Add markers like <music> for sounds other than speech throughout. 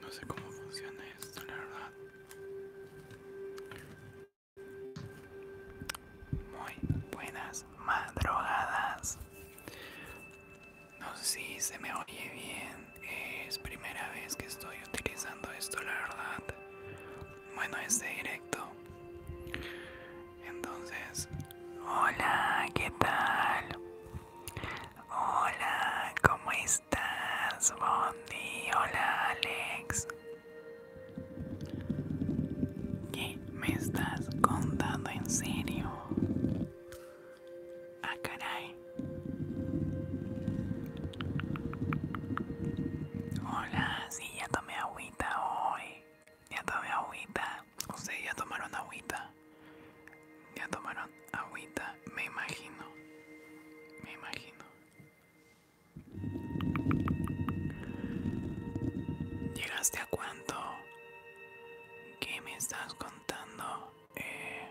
No sé cómo funciona esto, la verdad. Muy buenas madrugadas. No sé si se me oye bien. Es primera vez que estoy utilizando esto, la verdad bueno este directo entonces hola qué tal hola cómo estás Bondi hola Alex ¿Qué me estás contando en serio? Ah, caray. Hola, sí, ya tomé agua hoy. Ya tomé agüita. o sea ya tomaron agüita. Ya tomaron agüita, me imagino. Me imagino. ¿Llegaste a cuánto? ¿Qué me estás contando? Eh,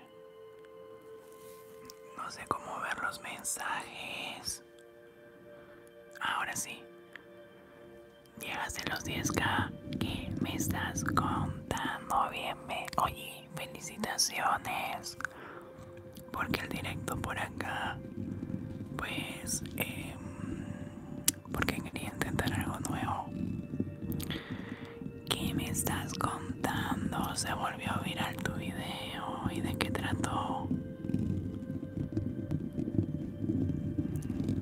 no sé cómo ver los mensajes. Ahora sí. Llegaste los 10k. ¿Qué me estás contando? Bien, me... Oye, felicitaciones. Porque el directo por acá, pues, em, porque quería intentar algo nuevo. ¿Qué me estás contando? Se volvió a viral tu video. ¿Y de qué trató?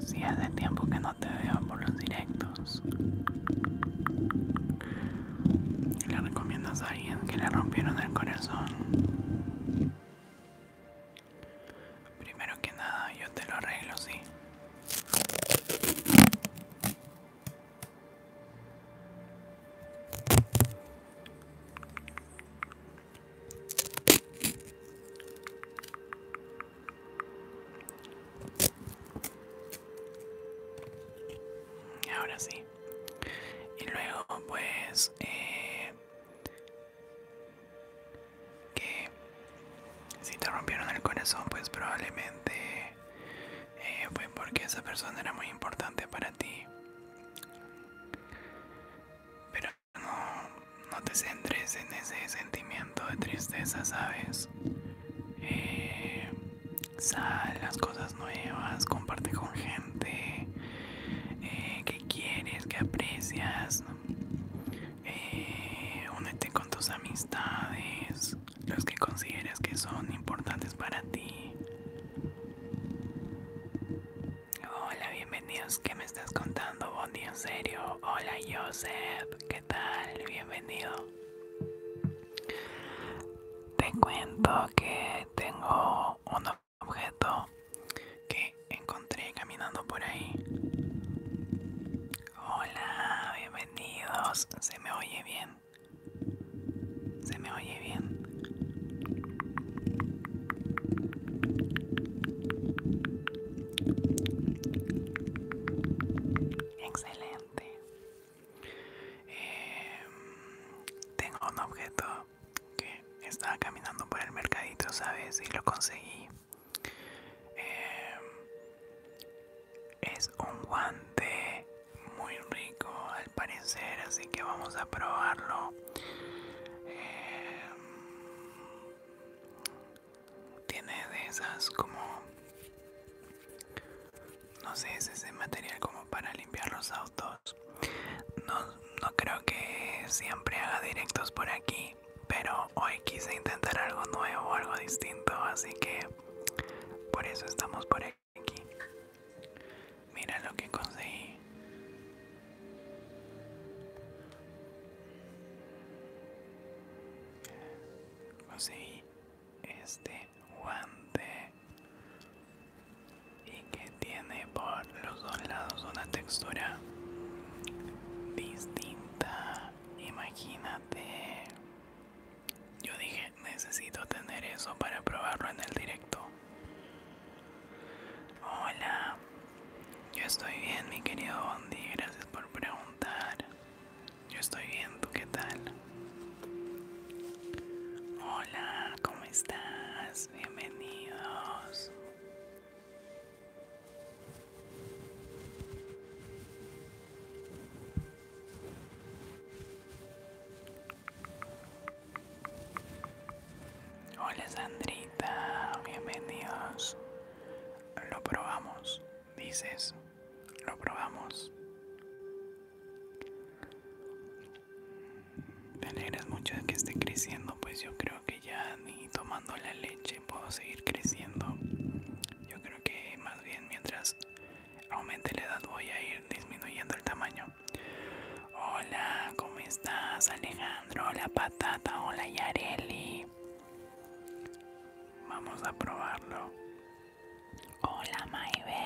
Si hace tiempo que no te veo por los directos, le recomiendas a alguien que le rompieron el corazón. Primero que nada, yo te lo arreglo, sí. Ahora sí. Y luego pues... Eh, que si te rompieron el corazón pues probablemente eh, fue porque esa persona era muy importante para ti pero no, te centres en ese sentimiento de tristeza, ¿sabes? Eh, sal, las cosas nuevas, comparte con gente eh, que quieres, que aprecias. Eh, únete con tus amistades, los que consideres que son importantes para ti. Hola, bienvenidos. ¿Qué me estás contando, Bondi? ¿En serio? Hola, Joseph. ¿Qué tal? Bienvenido. Te cuento que tengo un objeto que encontré caminando por ahí. Hola, bienvenidos. ¿Se me oye bien? ¿Se me oye bien. Excelente. Em, tengo un objeto que estaba caminando por el mercadito, ¿sabes? Y lo conseguí. Em, es un guante muy rico, parecer, así que vamos a probarlo. Eh, tiene de esas como... No sé, es ese material como para limpiar los autos. No, no creo que siempre haga directos por aquí, pero hoy quise intentar algo nuevo, algo distinto, así que por eso estamos por aquí. Mira lo que conseguí. Conseguí este guante y que tiene por los dos lados una textura distinta. Imagínate. Yo dije, necesito tener eso para probarlo en el directo. Hola, yo estoy bien, mi querido Bondi, gracias por preguntar. Yo estoy bien, ¿tú qué tal? Hola, ¿cómo estás? Bienvenidos. Hola Sandrita, bienvenidos. Lo probamos, dices. Lo probamos. te alegras mucho de que esté creciendo, pues yo creo que ya ni tomando la leche puedo seguir creciendo. Yo creo que más bien mientras aumente la edad voy a ir disminuyendo el tamaño. Hola, ¿cómo estás Alejandro? la patata, hola Yareli. Vamos a probarlo. Hola Maybeth.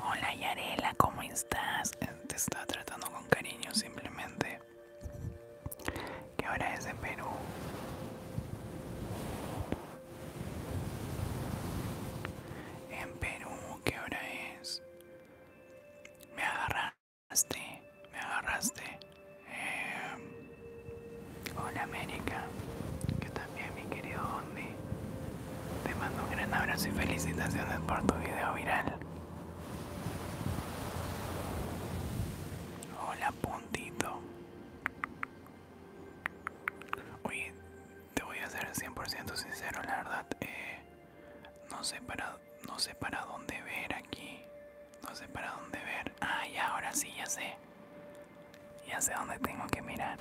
Hola Yarela, ¿cómo estás? Te está tratando con cariño simplemente. ¿Qué hora es en Perú? En Perú, ¿qué hora es? Me agarraste, me agarraste. Eh, hola América, ¿qué tal? Bien mi querido Dondi, Te mando un gran abrazo y felicitaciones por tu video viral. Hola, puntito. Oye, te voy a ser 100% sincero, la verdad. Eh, no, sé para, no sé para dónde ver aquí. No sé para dónde ver. Ah, ahora sí, ya sé. Ya sé dónde tengo que mirar.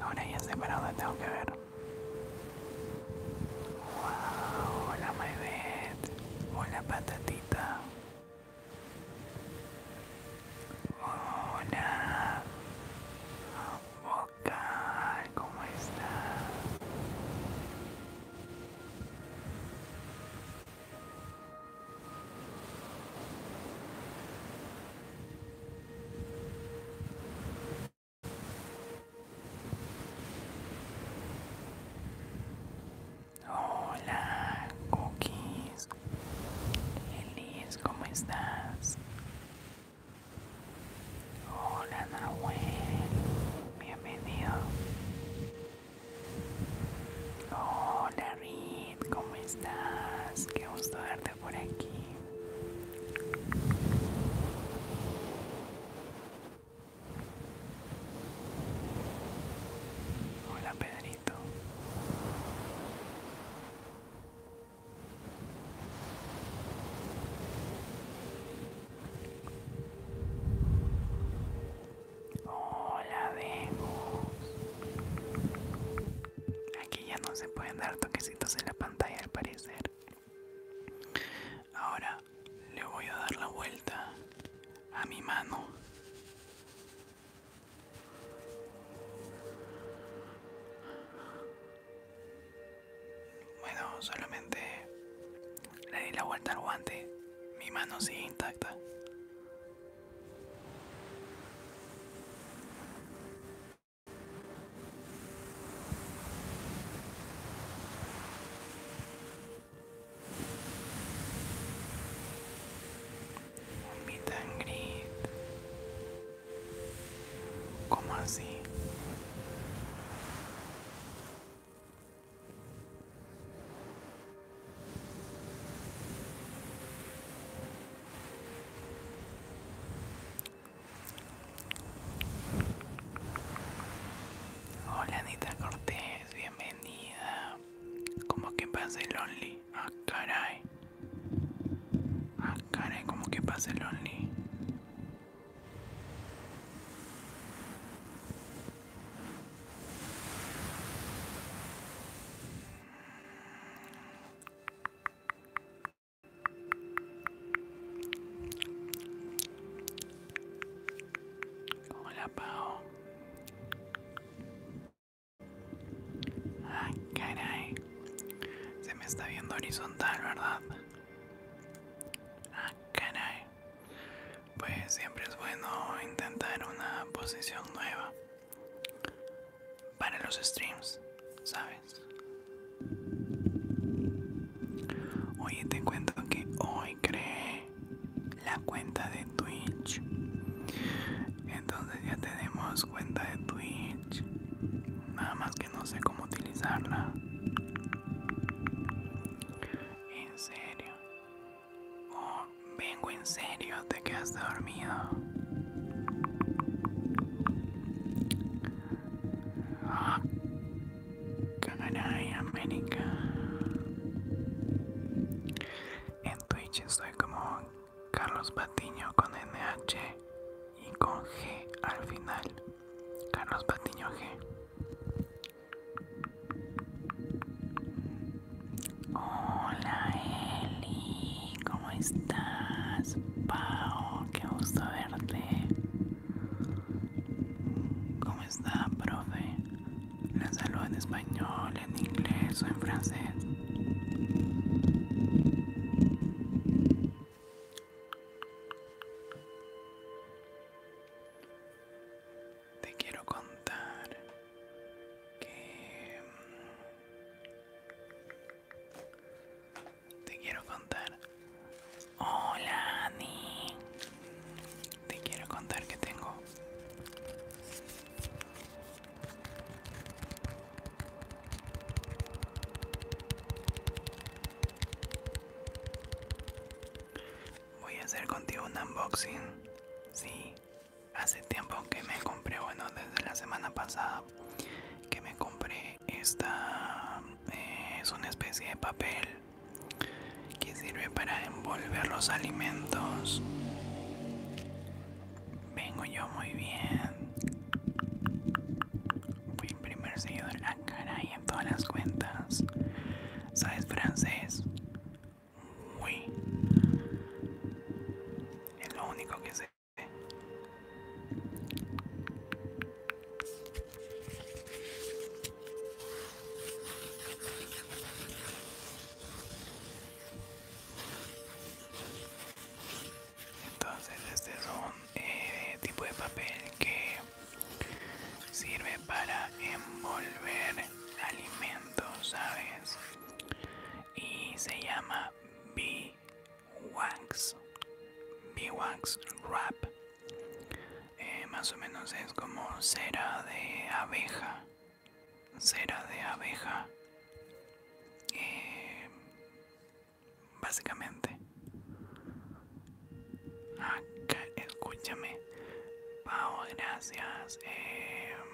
Ahora ya sé para dónde tengo que ver. Wow, hola Maybeth, hola patatita. Hola, vocal, ¿cómo está. Hola, Cookies. feliz! ¿cómo estás? Hola, Nahuel bienvenido. Hola Reed, ¿cómo estás? Qué gusto verte por aquí. Hola Pedrito. Hola, Demos! Aquí ya no se pueden dar toquecitos en la pantalla al parecer. Ahora le voy a dar la vuelta a mi mano. Bueno, solamente le di la vuelta al guante. Mi mano sigue intacta. Un meet ¿Cómo así? Hola Anita Cortés, bienvenida. ¿Cómo que pasa el Only? Ah, caray. Ah, caray, ¿cómo que pasa el Only? Hola Pau. Ah, caray. Se me está viendo horizontal, ¿verdad? Ah, caray pues siempre es bueno intentar una posición nueva para los streams, ¿sabes? Oye, te cuento que hoy creé la cuenta de Twitch. Entonces ya tenemos cuenta de Twitch. Nada más que no sé cómo utilizarla. En serio. Oh, vengo en serio, te has dormido. Ah, América. En Twitch estoy como Carlos Batiño con NH y con G al final. Carlos Batiño G. Hola Eli, ¿cómo estás? Pau, qué gusto verte. ¿Cómo está, profe? La saludo en español, en inglés o en francés te quiero contar que mm, te quiero contar hola Ani te quiero contar que tengo Voy a hacer contigo un unboxing. Sí, hace tiempo que me compré, bueno, desde la semana pasada que me compré esta. Eh, es una especie de papel que sirve para envolver los alimentos. Vengo yo muy bien. Fui sello primer la cara y en todas las cuentas. ¿Sabes francés? Muy. Es lo único que sé. Entonces este es un eh, tipo de papel que Sirve para envolver alimentos, ¿sabes? Y se llama Bee Wax. Bee Wax Wrap. Eh, más o menos es como cera de abeja. Cera de abeja. Eh, básicamente Acá, escúchame. Pau, gracias. Em,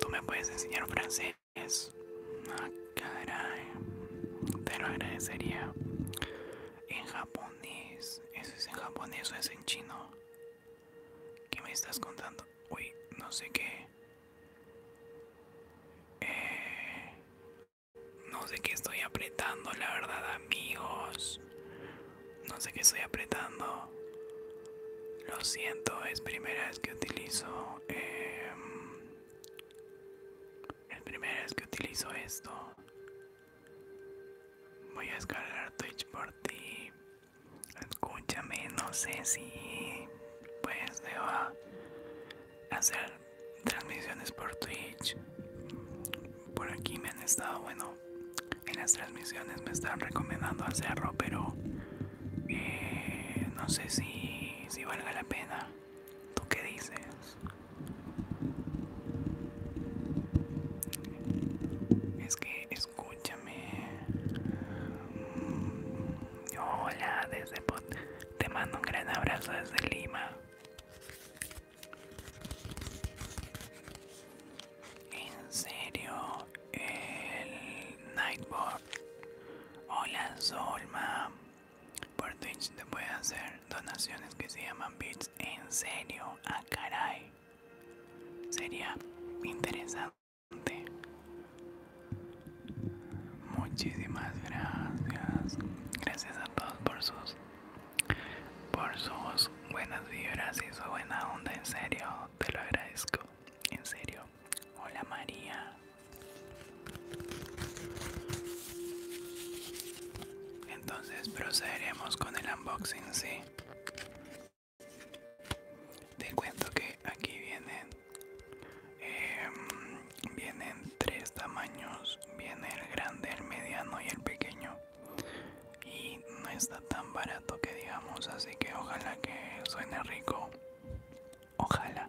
Tú me puedes enseñar francés. Ah, Te lo agradecería. En japonés. ¿Eso es en japonés o es en chino? ¿Qué me estás contando? Uy, no sé qué. Eh, no sé qué estoy apretando, la verdad, amigos. No sé qué estoy apretando. Lo siento, es primera vez que utilizo. Em, es primera vez que utilizo esto. Voy a descargar Twitch por ti. Escúchame, no sé si pues debo hacer transmisiones por Twitch. Por aquí me han estado, bueno, en las transmisiones me están recomendando hacerlo, pero eh, no sé si, si valga la pena. ¿Tú qué dices? Es que escúchame. Hola, desde te mando un gran abrazo desde Lima. En serio, el Nightbot. Hola Solma. Por Twitch te a hacer donaciones que se llaman bits. En serio, a ah, caray. Sería interesante. Muchísimas gracias. Gracias a todos por sus por sus buenas vibras y su buena onda, en serio, te lo agradezco, en serio. Hola María. Entonces procederemos con el unboxing, sí. Te cuento que aquí vienen, em, vienen tres tamaños, viene el grande, el mediano y el pequeño y no está tan barato que digamos así que ojalá que suene rico ojalá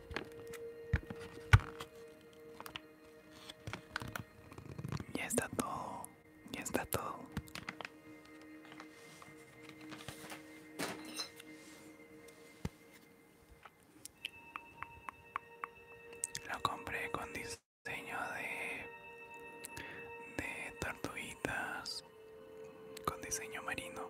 Ya está todo, ya está todo. Lo compré con diseño de de tortuguitas con diseño marino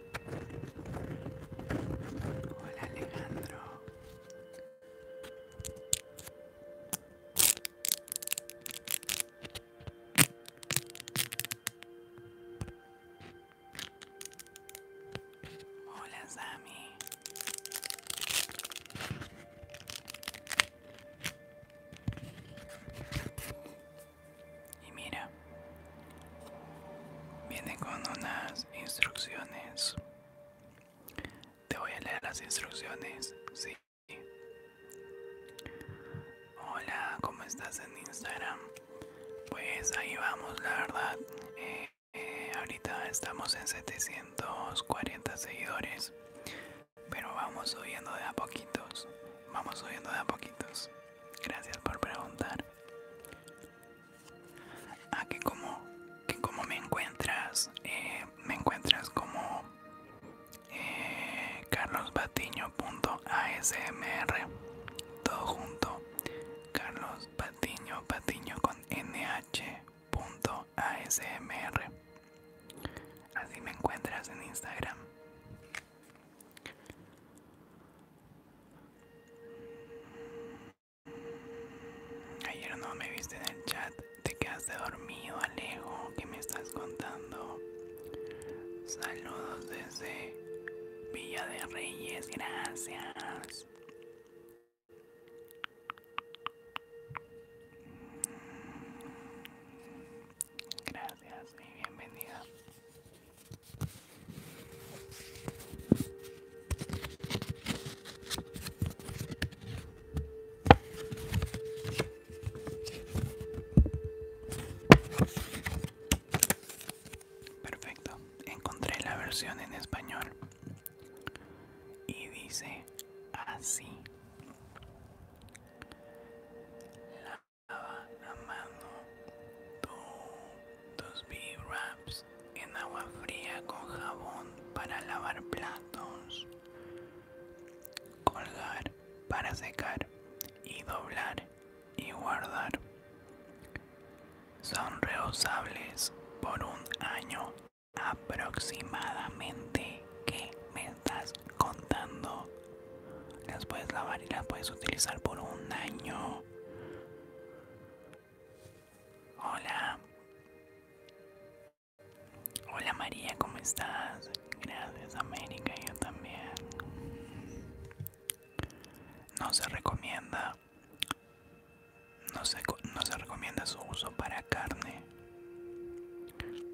Hola Alejandro. Hola Sami. Y mira, viene con unas instrucciones. Te voy a leer las instrucciones, sí. Hola, ¿cómo estás en Instagram? Pues ahí vamos, la verdad. Eh, eh, ahorita estamos en 740 seguidores, pero vamos subiendo de a poquitos. Vamos subiendo de a poquitos. Gracias por preguntar. Aquí como que como me encuentras eh, me encuentras como eh, carlosbatiño.asmr todo junto carlos patiño con nh.asmr así me encuentras en instagram Ayer no me viste en el chat, te quedaste dormido, Alejo, ¿qué me estás contando? Saludos desde Villa de Reyes, gracias. Gracias y bienvenida. Perfecto, encontré la versión en español y dice así. la mano, dos b en agua fría con jabón para lavar platos, colgar para secar y doblar y guardar. Son reusables por un año aproximadamente. ¿Qué me estás contando? Las puedes lavar y las puedes utilizar por un año. Hola. Hola María, ¿cómo estás? Gracias América, yo también. No se recomienda. No se, no se recomienda su uso para carne.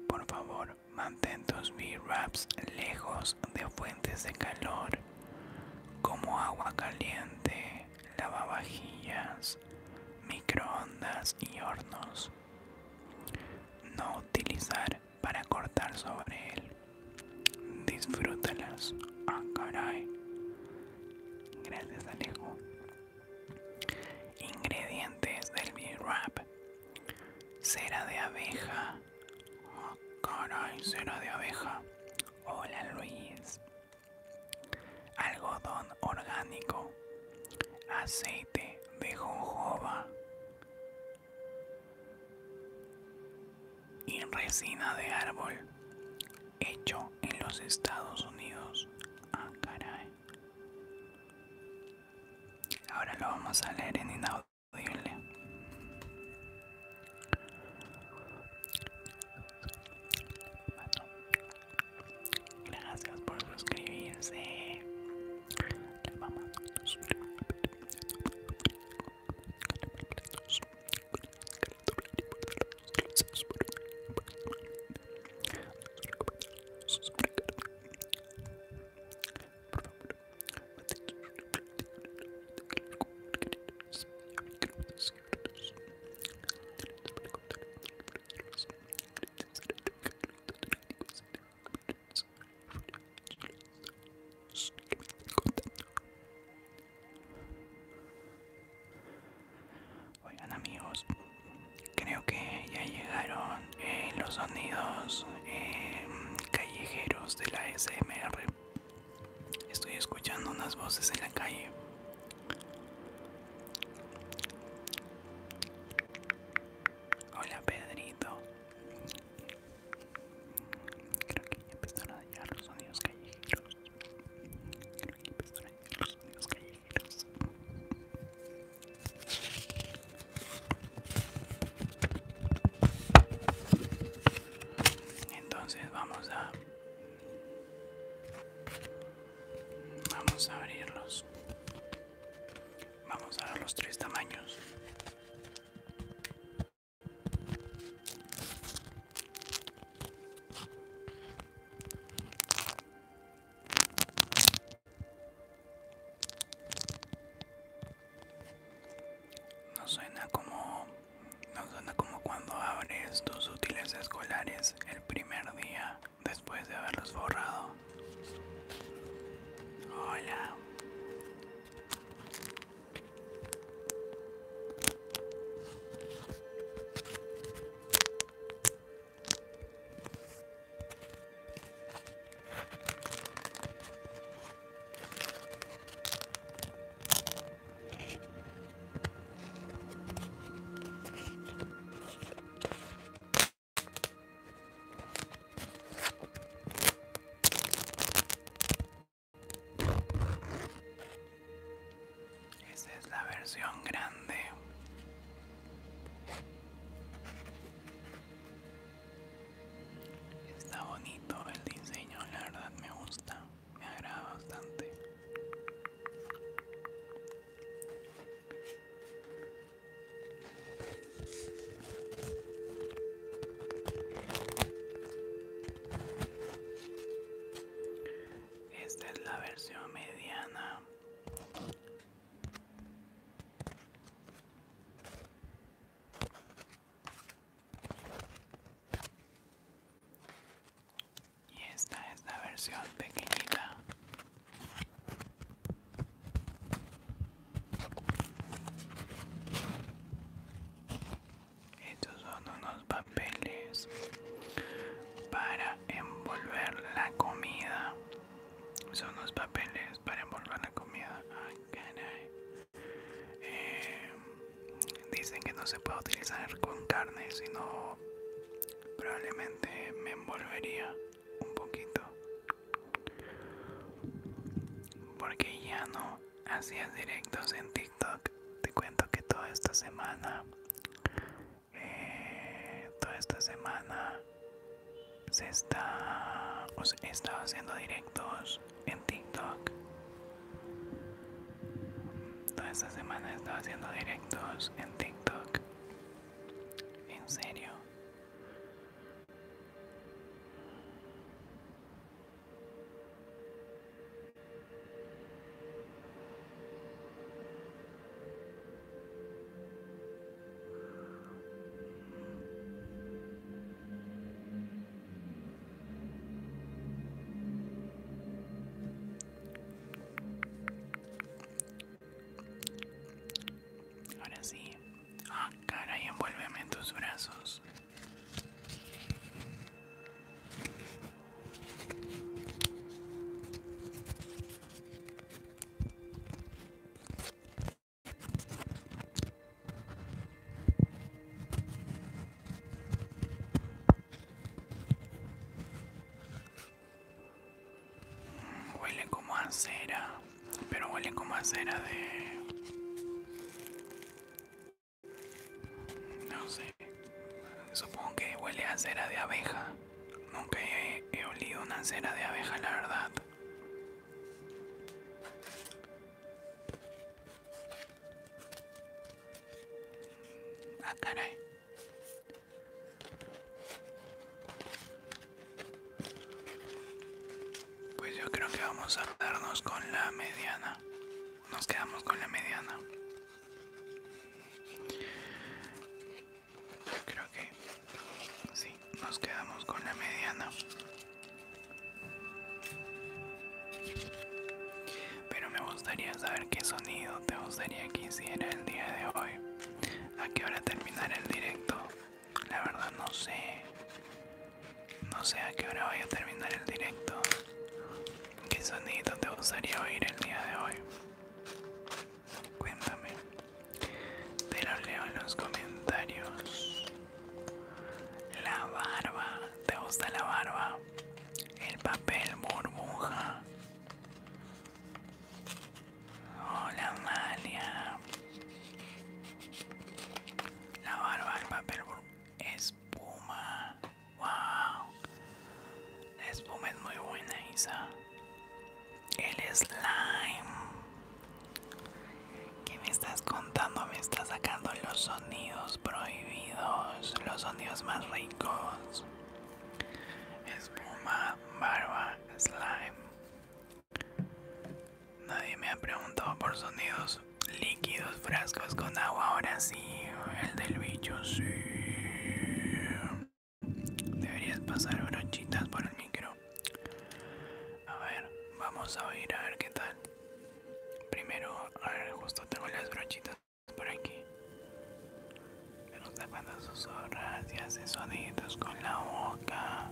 Por favor, mantén tus B-Wraps lejos de fuentes de calor como agua caliente lavavajillas, microondas y hornos. No utilizar para cortar sobre él. Disfrútalas. oh caray. Gracias, Alejo. Ingredientes del B-Wrap: cera de abeja. oh caray, cera de abeja. Hola, Luis algodón orgánico, aceite de jojoba y resina de árbol hecho en los Estados Unidos. Ah, Ahora lo vamos a leer en inaudible. Gracias por suscribirse. Oigan amigos, creo que ya llegaron eh, los sonidos eh, callejeros de la SMR. Estoy escuchando unas voces en la calle. Hola Pedrito. Creo que ya empezaron a dañar los sonidos callejeros. Creo que empezaron a llegar los sonidos callejeros. Entonces vamos a Vamos a abrirlos. Vamos a ver los tres tamaños. No suena como no suena como cuando abres tus útiles escolares el primer día después de haberlos borrado. Hola. Esa es la versión grande. Está bonito el diseño, la verdad me gusta me agrada bastante esta es la versión mediana y esta es la versión pequeñita. Estos son unos papeles para envolver la comida. Son unos papeles para envolver la comida. Ay, ah, caray. Eh, Dicen que no se puede utilizar con carne, sino probablemente me envolvería un poquito. Porque ya no hacías directos en TikTok. Te cuento que toda esta semana, eh, toda esta semana se está, haciendo directos en TikTok Toda esta semana he estado haciendo directos en TikTok. En serio. Ahora sí. Ah, caray, envuélveme en tus brazos. Huele como a cera, pero huele como a cera de... No sé, supongo que huele a cera de abeja. Nunca he, olido una cera de abeja, la verdad acá, ah, Pues yo creo que vamos a darnos con la mediana. Nos quedamos con la mediana. Creo que sí, nos quedamos con la mediana pero me gustaría saber qué sonido te gustaría que hiciera el día de hoy. ¿A qué hora terminar el directo? La verdad no sé. No sé a qué hora voy a terminar el directo. ¿Qué sonido te gustaría oír el día de hoy? Cuéntame. Te lo leo en los comentarios. La barba. ¿Te gusta la barba? El papel burbuja. Hola, Amalia. La barba, del papel burbuja. Espuma. Wow. La espuma es muy buena, Isa. El slime. ¿Qué me estás contando? Me estás sacando los sonidos prohibidos, los sonidos más ricos. Espuma, barba, slime. Nadie me ha preguntado por sonidos líquidos, frascos con agua. Ahora sí, el del bicho, sí. Deberías pasar brochitas por el micro. A ver, vamos a oír a ver qué tal. Primero, a ver, justo tengo las brochitas por aquí. Pero tapando sus horas y hace sonidos con la boca.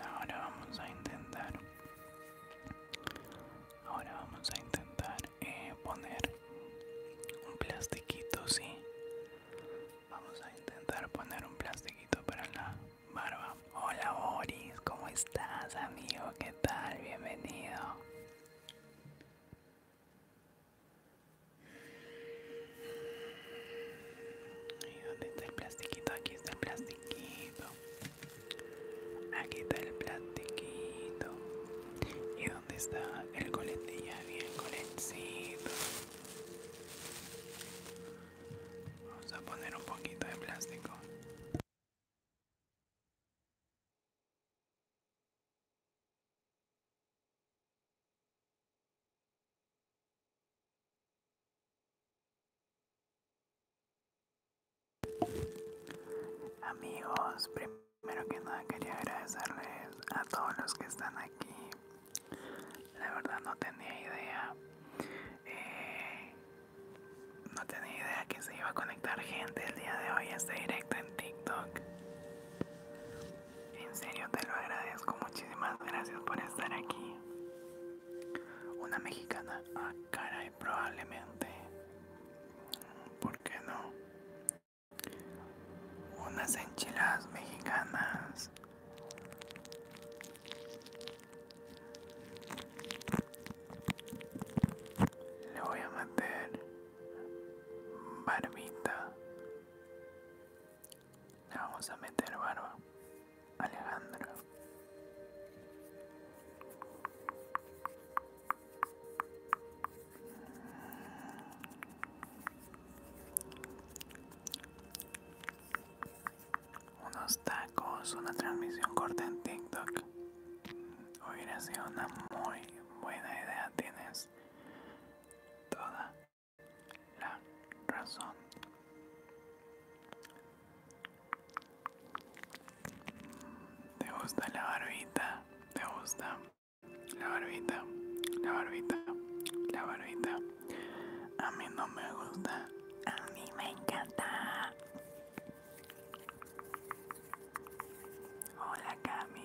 Ahora vamos a intentar. Ahora vamos a intentar eh, poner un plastiquito, sí. Vamos a intentar poner un plastiquito para la barba. Hola Boris, ¿cómo estás amigo? ¿Qué tal? Bienvenido. ¿Y dónde está el plastiquito? Aquí está el plastiquito. Aquí está el plástico ¿Y dónde está el coletilla Ya bien Vamos a poner un poquito de plástico. Amigos, primero que nada quería agradecerles a todos los que están aquí. La verdad no tenía idea. Eh, no tenía idea que se iba a conectar gente el día de hoy a este directo en TikTok. En serio te lo agradezco. Muchísimas gracias por estar aquí. Una mexicana, a ah, caray, probablemente. ¿Por qué no? Unas enchiladas mexicanas. Le voy a meter barbita. Le vamos a meter barba. Alejandro. Unos tacos, una transmisión corta en TikTok. Hubiera sido una muy buena idea, tienes toda la razón. ¿Te gusta la barbita? ¿Te gusta? La barbita, la barbita, la barbita. A mí no me gusta. A mí me encanta. Hola Cami.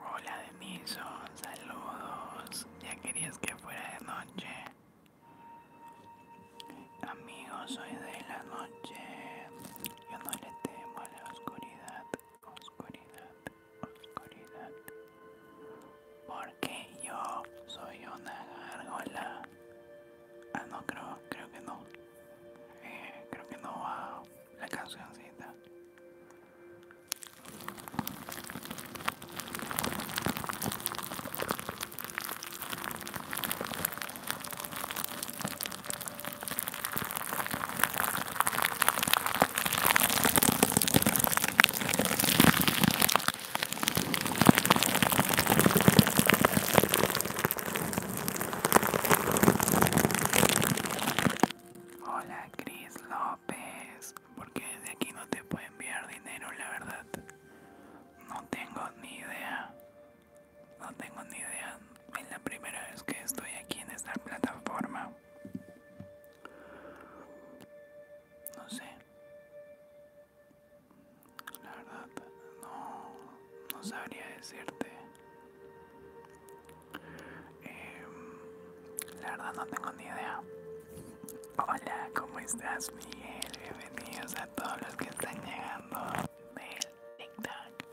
Hola miso saludos. Ya querías que fuera de noche. Amigos, soy de la noche. Yo no le temo a la oscuridad. Oscuridad, oscuridad, porque yo soy una gárgola. Ah, no, creo, creo que no. Eh, creo que no va la cancioncita. Hola Cris López, porque desde aquí no te puedo enviar dinero, la verdad. No tengo ni idea. No tengo ni idea. Es la primera vez que estoy aquí en esta plataforma. No sé. La verdad, no, no sabría decirte. Em, la verdad no tengo ni idea. Hola, ¿cómo estás Miguel? Bienvenidos a todos los que están llegando del TikTok.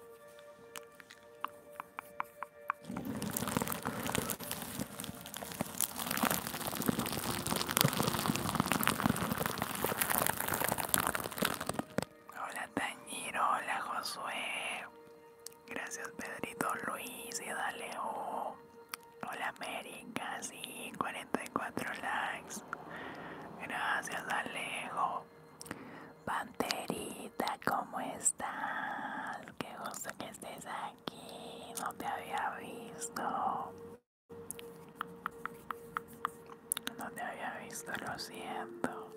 Hola Tañiro, hola Josué. Gracias Pedrito Luis y Daleo. Hola América, sí, 44 likes. Gracias Alejo. Panterita, ¿cómo estás? Qué gusto que estés aquí. No te había visto. No te había visto, lo siento.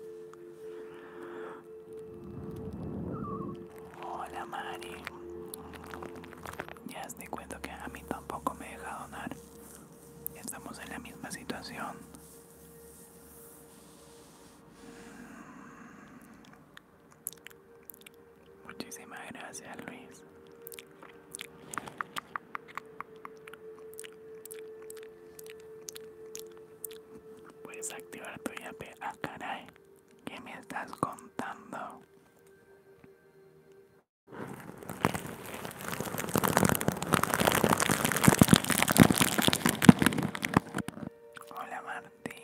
Hola Mari. Ya te cuento que a mí tampoco me deja donar. Estamos en la misma situación. Muchísimas gracias, Luis. Puedes activar tu IAP. Ah, caray. ¿Qué me estás contando? Hola Martín.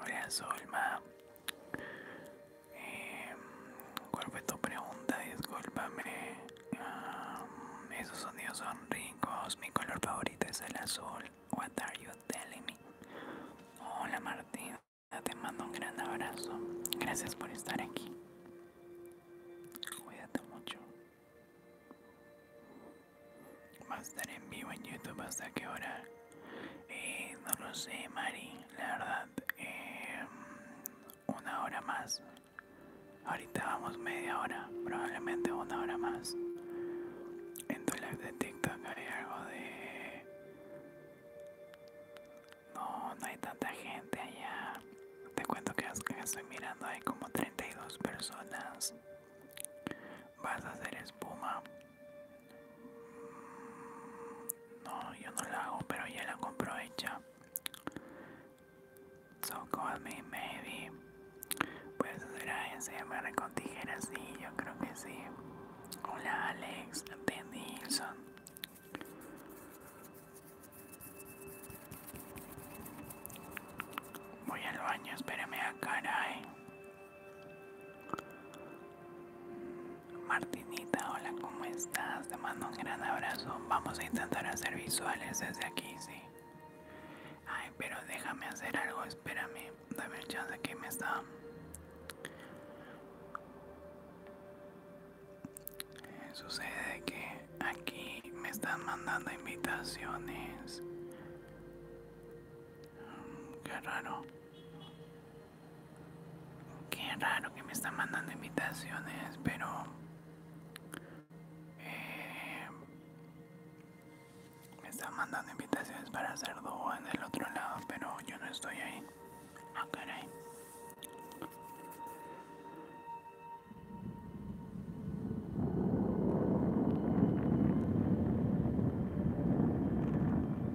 Hola Solma. Em, ¿Cuál fue tu pregunta? Disculpame, esos sonidos son ricos. Mi color favorito es el azul. What are you telling me? Hola Martín. te mando un gran abrazo. Gracias por estar aquí. Cuídate mucho va a estar en vivo en YouTube hasta qué hora. y eh, no lo sé, Mari, la verdad. Em, una hora más. Ahorita vamos media hora, probablemente una hora más. En tu live de TikTok hay algo de... No, no hay tanta gente allá. Te cuento que estoy mirando, hay como 32 personas. Vas a hacer espuma. No, yo no la hago, pero ella la compro hecha. So call me maybe. Pues será MR con tijeras, sí, yo creo que sí. Hola Alex, de Voy al baño, espérame a ah, caray. Martinita, hola, ¿cómo estás? Te mando un gran abrazo. Vamos a intentar hacer visuales desde aquí, sí. Ay, pero déjame hacer algo, espérame. Dame el chance que me está. sucede que aquí me están mandando invitaciones. Mm, qué raro. Qué raro que me están mandando invitaciones, pero... Eh, me están mandando invitaciones para hacer dúo en el otro lado, pero yo no estoy ahí. Ah, caray.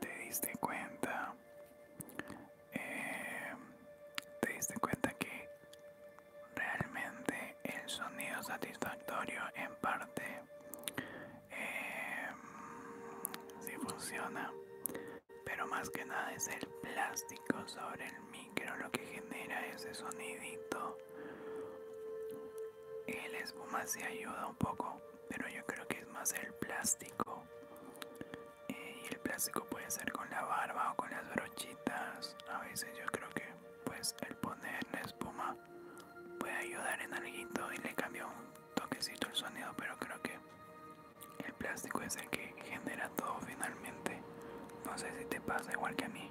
Te diste cuenta, eh, te diste cuenta que realmente el sonido satisfactorio en parte eh, si funciona pero más que nada es el plástico sobre el micro lo que genera ese sonidito el espuma si ayuda un poco pero yo creo que es más el plástico eh, y el plástico puede ser con la barba o con las brochitas a veces yo creo que pues el poner la espuma puede ayudar en algo y le cambió un toquecito el sonido pero creo que el plástico es el que genera todo finalmente no sé si te pasa igual que a mí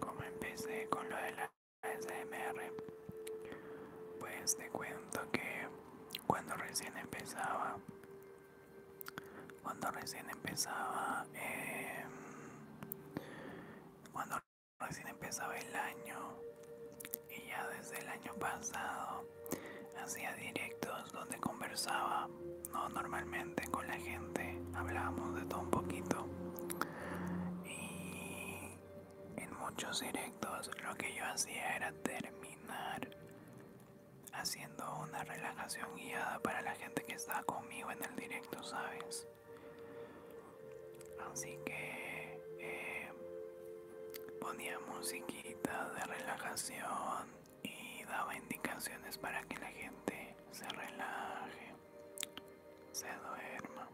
Como empecé con lo de la SMR, pues te cuento que cuando recién empezaba, cuando recién empezaba, em, cuando recién empezaba el año y ya desde el año pasado hacía directos donde conversaba no, normalmente con la gente hablábamos de todo un poquito. Y en muchos directos lo que yo hacía era terminar haciendo una relajación guiada para la gente que está conmigo en el directo, ¿sabes? Así que eh, ponía musiquita de relajación y daba indicaciones para que la gente se relaje, se duerma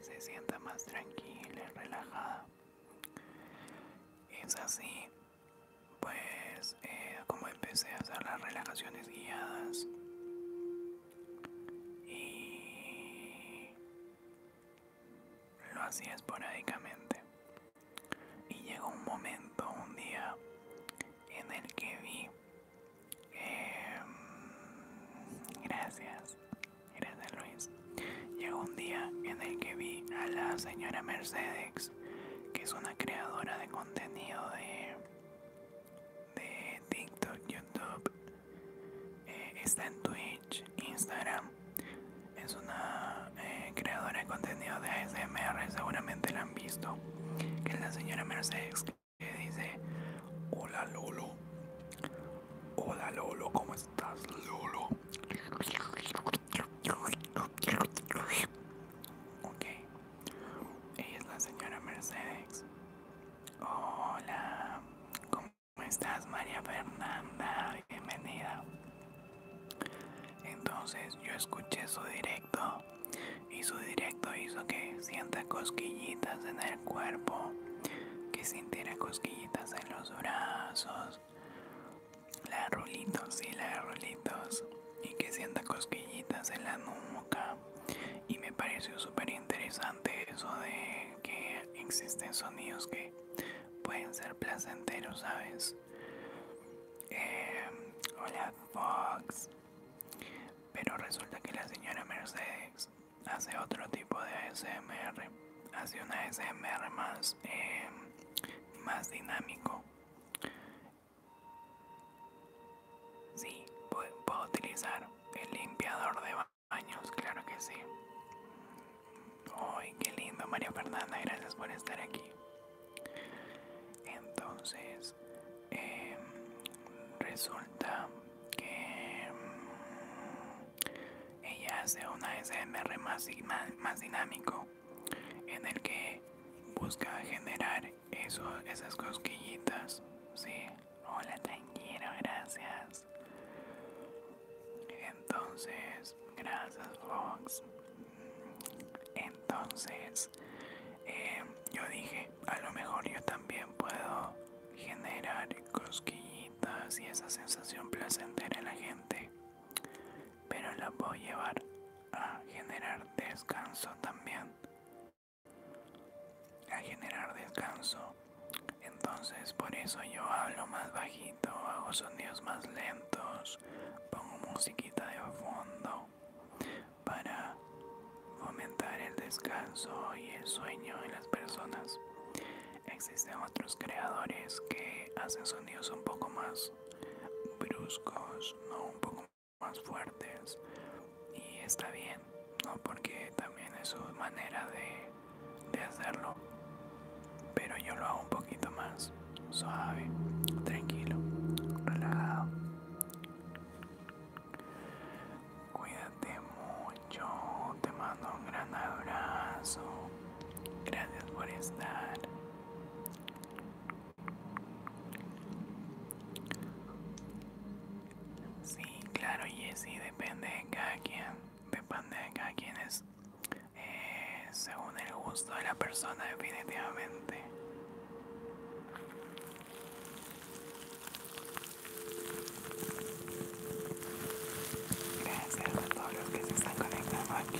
y se sienta más tranquila y relajada. Es así, pues, eh, como empecé a hacer las relajaciones guiadas. Y lo hacía esporádicamente y llegó un momento, un día, en el que vi, em, gracias, gracias Luis, llegó un día en el que vi a la señora Mercedes, que es una creadora de contenido de, TikTok, YouTube, eh, está en Twitch, Instagram, es una eh, creadora de contenido de ASMR seguramente la han visto que es la señora Mercedes que dice hola Lolo hola Lolo ¿cómo estás Lolo? ok ella es la señora Mercedes hola ¿cómo estás María Fernanda? bienvenida entonces yo escuché su directo y su directo hizo que sienta cosquillitas en el cuerpo, que sintiera cosquillitas en los brazos, las rulitos y las rulitos, y que sienta cosquillitas en la nuca. Y me pareció súper interesante eso de que existen sonidos que pueden ser placenteros, ¿sabes? Em, hola Fox. Pero resulta que la señora Mercedes hace otro tipo de ASMR. Hace una ASMR más, em, más dinámico. Sí, puedo, utilizar el limpiador de baños, claro que sí. ¡Ay, qué lindo, María Fernanda! Gracias por estar aquí. Entonces, em, resulta que em, ella hace una SMR más, dinámico en el que busca generar esas cosquillitas. Sí, hola, tranquilo, gracias. Entonces, gracias, Fox. Entonces, Em, yo dije, a lo mejor yo también puedo generar cosquillitas y esa sensación placentera en la gente, pero la puedo llevar a generar descanso también, a generar descanso. Entonces por eso yo hablo más bajito, hago sonidos más lentos, pongo musiquita de fondo para fomentar el descanso y el sueño en las personas. Existen otros creadores que hacen sonidos un poco más bruscos, no un poco más fuertes y está bien, porque también es su manera de hacerlo, pero yo lo hago un poquito más suave, tranquilo, relajado. Cuídate mucho, te mando un gran abrazo. Gracias por estar. Sí, claro, Jessy, depende de cada quien. Depende de cada quien es eh, según el gusto de la persona, definitivamente. Gracias a todos los que se están conectando aquí.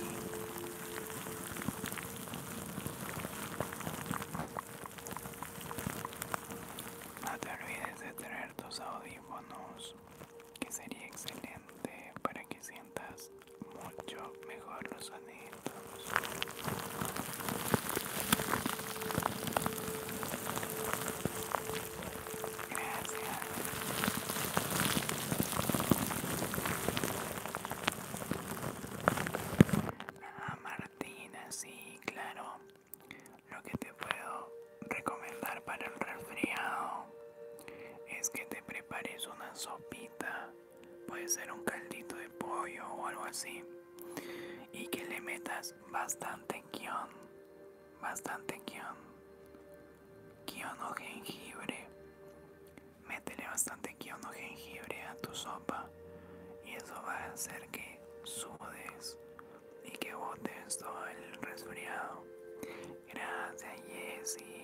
No te olvides de traer tus audífonos, que sería excelente para que sientas mucho mejor los anillos. Gracias. Ah, Martina, sí, claro. Lo que te puedo recomendar para el resfriado es que te prepares una sopita puede ser un caldito de pollo o algo así y que le metas bastante guión bastante guión guión o jengibre métele bastante guión o jengibre a tu sopa y eso va a hacer que sudes y que botes todo el resfriado gracias y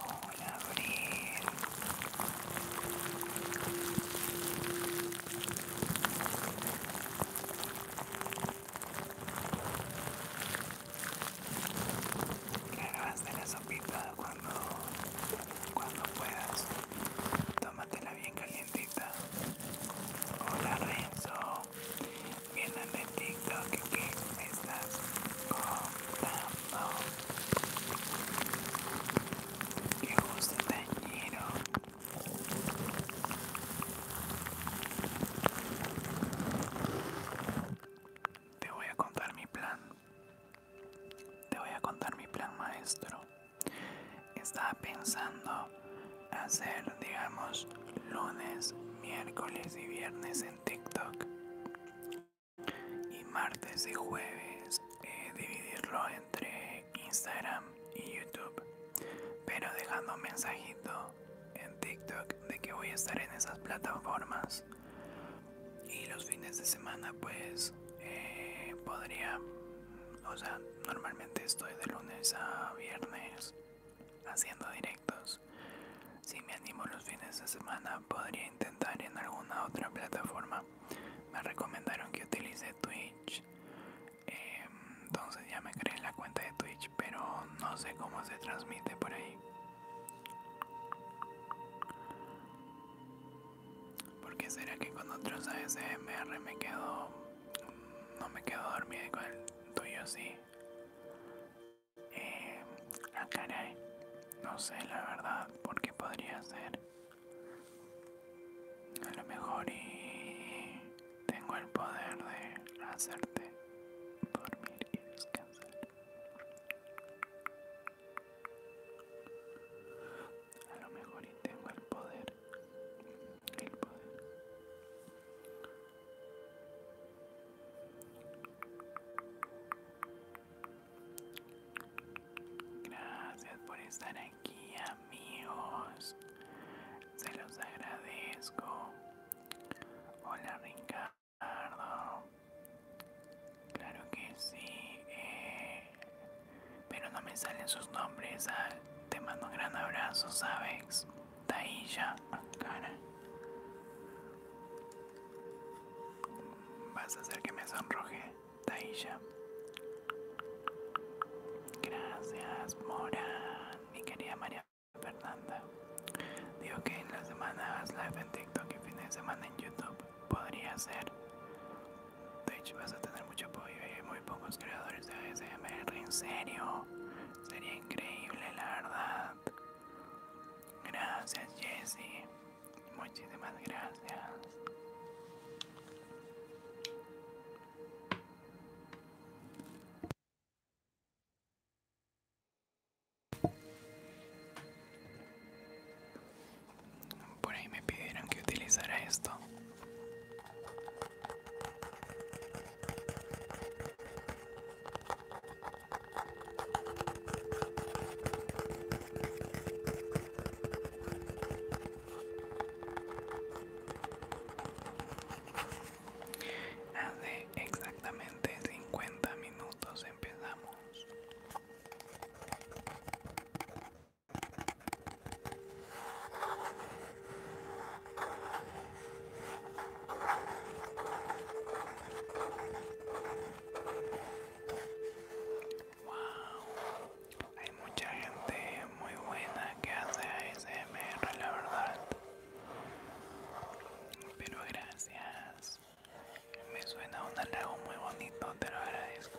Hola, Abril. Grabaste la sopita cuando, cuando puedas tómatela bien calientita. Hola Renzo, bien de TikTok que me estás contando. Que gusto tañero. Te voy a contar mi plan. Te voy a contar mi plan maestro. Estaba pensando hacer, digamos, lunes, miércoles y viernes en TikTok. Y martes y jueves eh, dividirlo entre Instagram y YouTube. Pero dejando un mensajito en TikTok de que voy a estar en esas plataformas. Y los fines de semana pues eh, podría o sea, normalmente estoy de lunes a viernes haciendo directos. Si me animo los fines de semana, podría intentar en alguna otra plataforma. Me recomendaron que utilice Twitch. Em, entonces ya me creé la cuenta de Twitch, pero no sé cómo se transmite por ahí. Porque será que con otros ASMR me quedo no me quedo dormida con el tuyo, sí. Eh, ah, caray. No sé la verdad porque podría ser. A lo mejor y tengo el poder de hacerte dormir y descansar. A lo mejor y tengo el poder Gracias por estar aquí amigos, se los agradezco. Hola Ricardo, claro que sí, eh, pero no me salen sus nombres. te mando un gran abrazo, ¿sabes? Tailla, cara. Vas a hacer que me sonroje, Tailla. Gracias, Mora, mi querida María Fernanda. Digo que en la semana live en TikTok y fin de semana en YouTube. Podría ser. De hecho vas a tener mucho apoyo y hay muy pocos creadores de ASMR, en serio. Sería increíble la verdad. Gracias Jesse. Muchísimas gracias. Por ahí me pidieron que utilizara esto. Hace ah, exactamente 50 minutos empezamos. Wow, hay mucha gente muy buena que hace ASMR, la verdad. Pero gracias, me suena un halago muy bonito, te lo agradezco.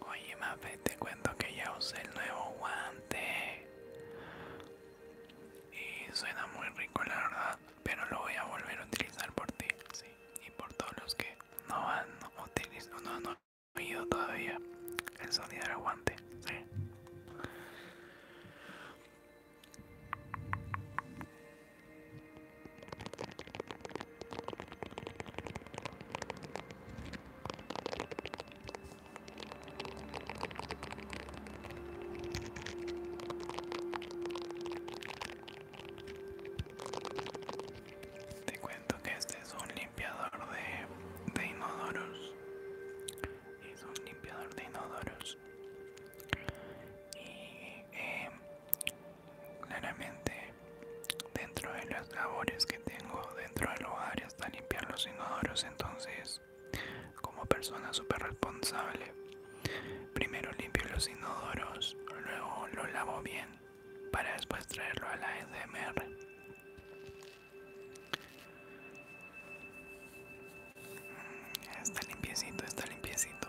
Oye, Mafe, te cuento que ya usé el nuevo guante. Y suena muy rico, la verdad. Pero lo voy a volver a utilizar por ti, Y por todos los que no han oído todavía el sonido del guante, te cuento que este es un limpiador de, de inodoros. Es un limpiador de inodoros. Y eh, Claramente, dentro de las labores que tengo dentro del hogar está limpiar los inodoros, entonces, como persona súper responsable, primero limpio los inodoros, luego lo lavo bien para después traerlo a la SMR. E mm, está limpiecito, está limpiecito.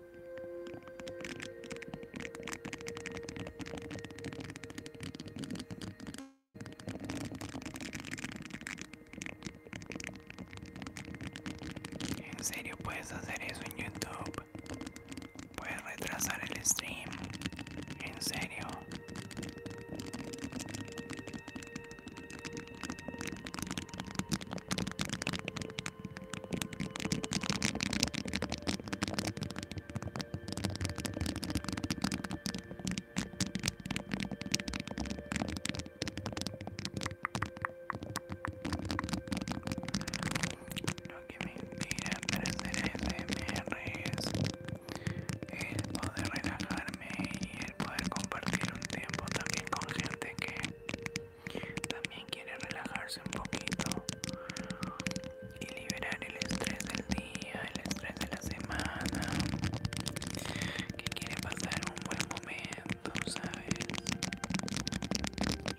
En serio puedes hacer eso en YouTube. Puedes retrasar el stream. En serio. Lo que me inspira para hacer es el poder relajarme y el poder compartir un tiempo también con gente que también quiere relajarse un poquito y liberar el estrés del día, el estrés de la semana. Que quiere pasar un buen momento, ¿sabes?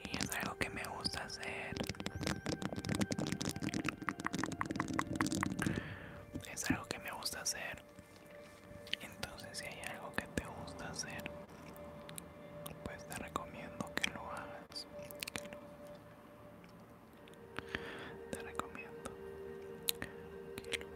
Y es algo que me gusta hacer. Es algo que me gusta hacer. Entonces si hay algo que te gusta hacer, pues te recomiendo que lo hagas, te recomiendo que lo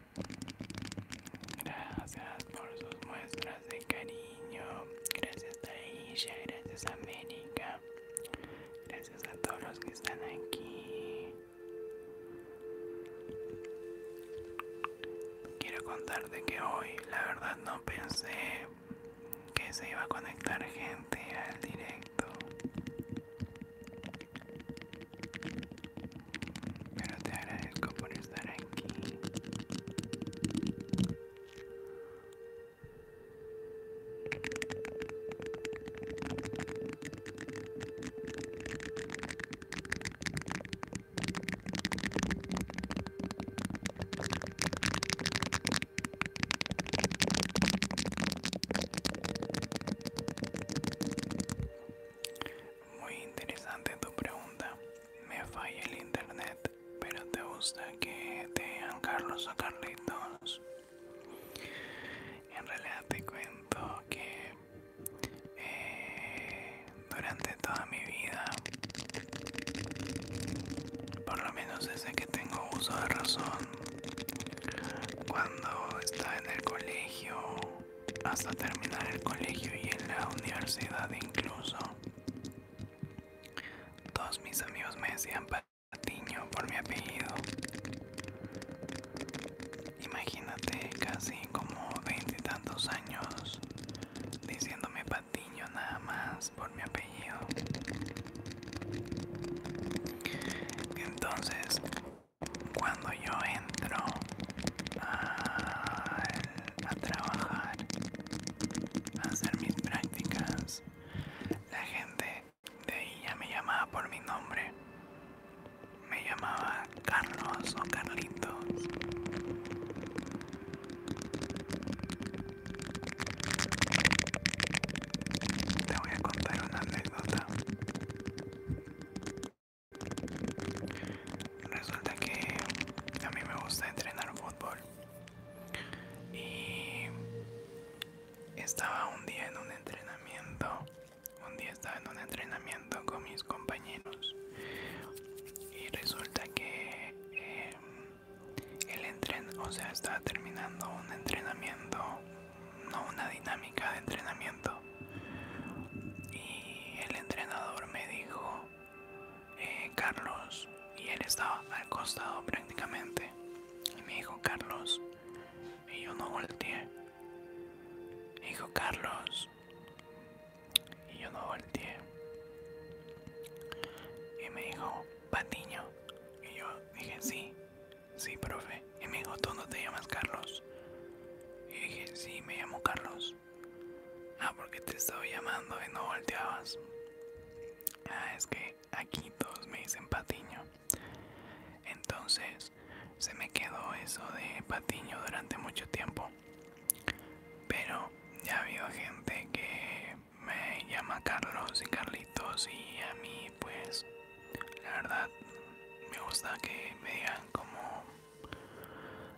Gracias por sus muestras de cariño. Gracias a ella, gracias a América. Gracias a todos los que están aquí. Quiero contarte que hoy la verdad no pensé que se iba a conectar gente al directo pero te agradezco por estar aquí. Muy interesante tu pregunta me falla el internet, pero te gusta que te Carlos o Carlitos. En realidad te cuento que eh, durante toda mi vida, por lo menos desde que tengo uso de razón, cuando estaba en el colegio hasta terminar el colegio y en la universidad incluso. Todos mis amigos me decían Patiño por mi apellido. Imagínate casi como tantos años diciéndome Patiño nada más por mi apellido. Entonces, cuando yo entro a, trabajar, a hacer mis prácticas. La gente de ella me llamaba por mi nombre. Me llamaba Carlos o Carlitos. Te voy a contar una anécdota. Resulta que a mí me gusta entrenar fútbol y estaba un día en un entrenamiento, un día estaba en un entrenamiento con mis compañeros y resulta que eh, el o sea, estaba terminando un entrenamiento, no una dinámica de entrenamiento y el entrenador me dijo eh, Carlos y él estaba al costado prácticamente y me dijo Carlos y yo no volteé me dijo Carlos y yo no volteé y me dijo Patiño y yo dije sí sí profe y me dijo tú no te llamas Carlos y dije sí me llamo Carlos Ah, porque te estaba llamando y no volteabas. Ah, es que aquí todos me dicen Patiño. Entonces se me quedó eso de Patiño durante mucho tiempo. Pero ya ha habido gente que me llama Carlos y Carlitos y a mí pues la verdad me gusta que me digan como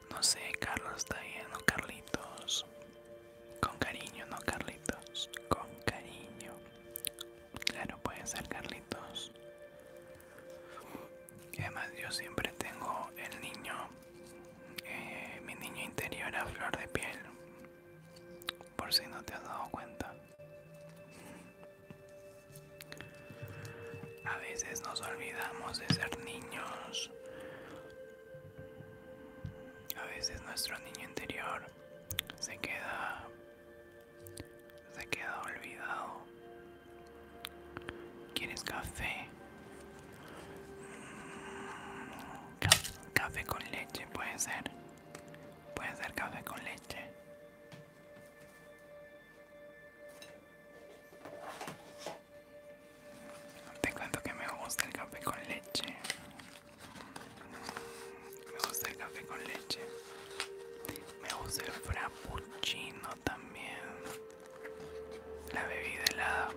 no sé, Carlos está bien, ¿no, Carlitos? Con cariño, ¿no, Carlitos? Con cariño. Claro, puede ser, Carlitos. además yo siempre tengo el niño, eh, mi niño interior a flor de piel, por si no te has dado cuenta. A veces nos olvidamos de ser niños. A veces nuestro niño interior se queda se queda olvidado. ¿Quieres café? Mm, café con leche puede ser. Puede ser café con leche. Te cuento que me gusta el café con leche. Me gusta el café con leche. Me gusta el frappuccino también. La bebida helada.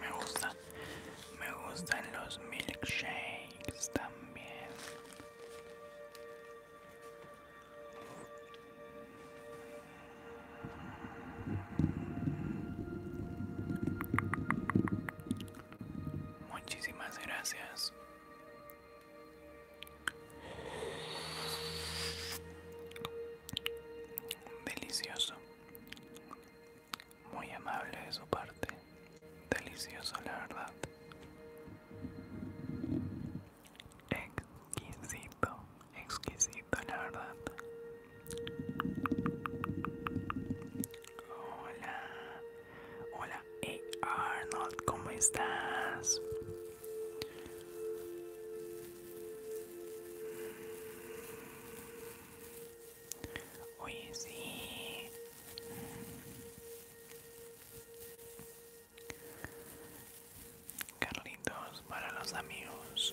Me gusta. Me gustan los milkshakes también. Muchísimas gracias. Delicioso. Muy amable de su parte. Delicioso, la verdad. Exquisito, exquisito la verdad. Hola, hola, Arnold, ¿cómo estás? Oye, sí. Carlitos para los amigos.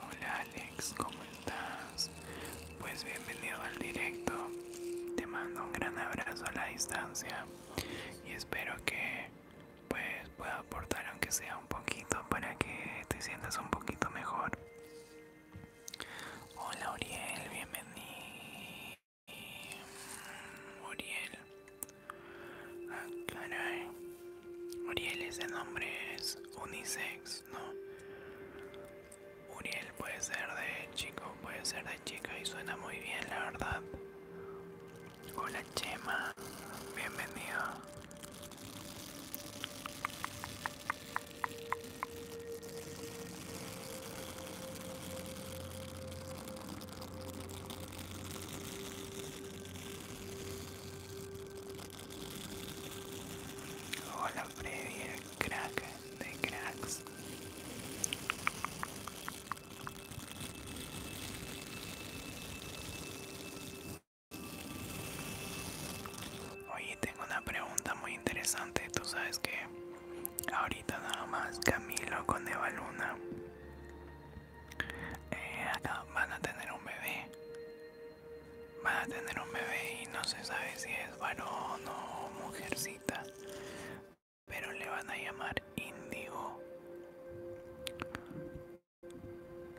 Hola Alex, ¿cómo estás? Pues bienvenido al directo. Te mando un gran abrazo a la distancia y espero que pues puedo aportar aunque sea un poquito para que te sientas un poquito mejor. Hola Uriel, bienvenido. Uriel. Ah, Uriel, ese nombre es unisex, ¿no? Uriel puede ser de chico, puede ser de chica y suena muy bien, la verdad. Hola Chema, bienvenido. Hola previa crack de cracks. Oye, tengo una pregunta muy interesante. Tú sabes que ahorita nada más Camilo con Eva Luna eh, van a tener un bebé. Van a tener un bebé y no se sabe si es varón o mujercita. Pero le van a llamar Índigo.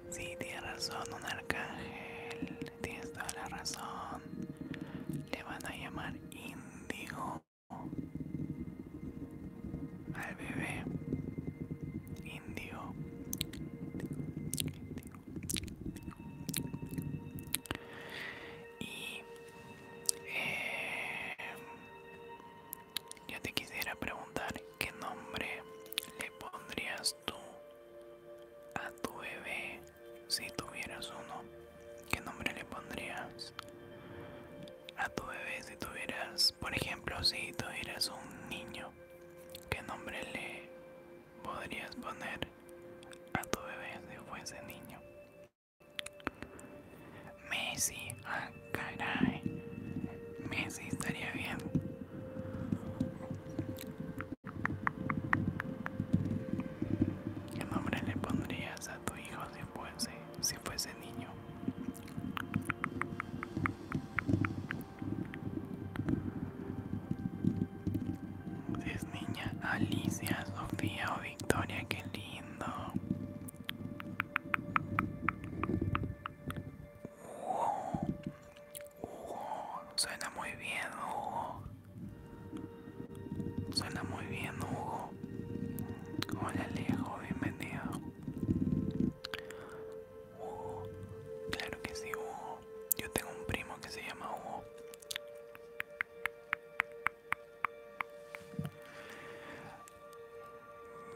Sí, tiene razón, un arcángel. tiene toda la razón. Le van a llamar indigo al bebé. Índigo. Y eh, yo te quisiera preguntar qué nombre le pondrías tú a tu bebé si tuvieras uno. ¿Qué nombre le pondrías a tu bebé si tuvieras, por ejemplo, si tuvieras un niño? ¿Qué nombre le podrías poner a tu bebé si fuese niño? Messi, ah, Caray, Messi estaría bien. ¿Qué nombre le pondrías a tu hijo si fuese, si fuese niño? Si es niña, Alicia, Sofía o Victoria, qué lindo. Hugo, Hugo, suena muy bien, Hugo. Suena muy bien, Hugo. Hola, Alejo, bienvenido. claro que sí, Hugo. Yo tengo un primo que se llama Hugo.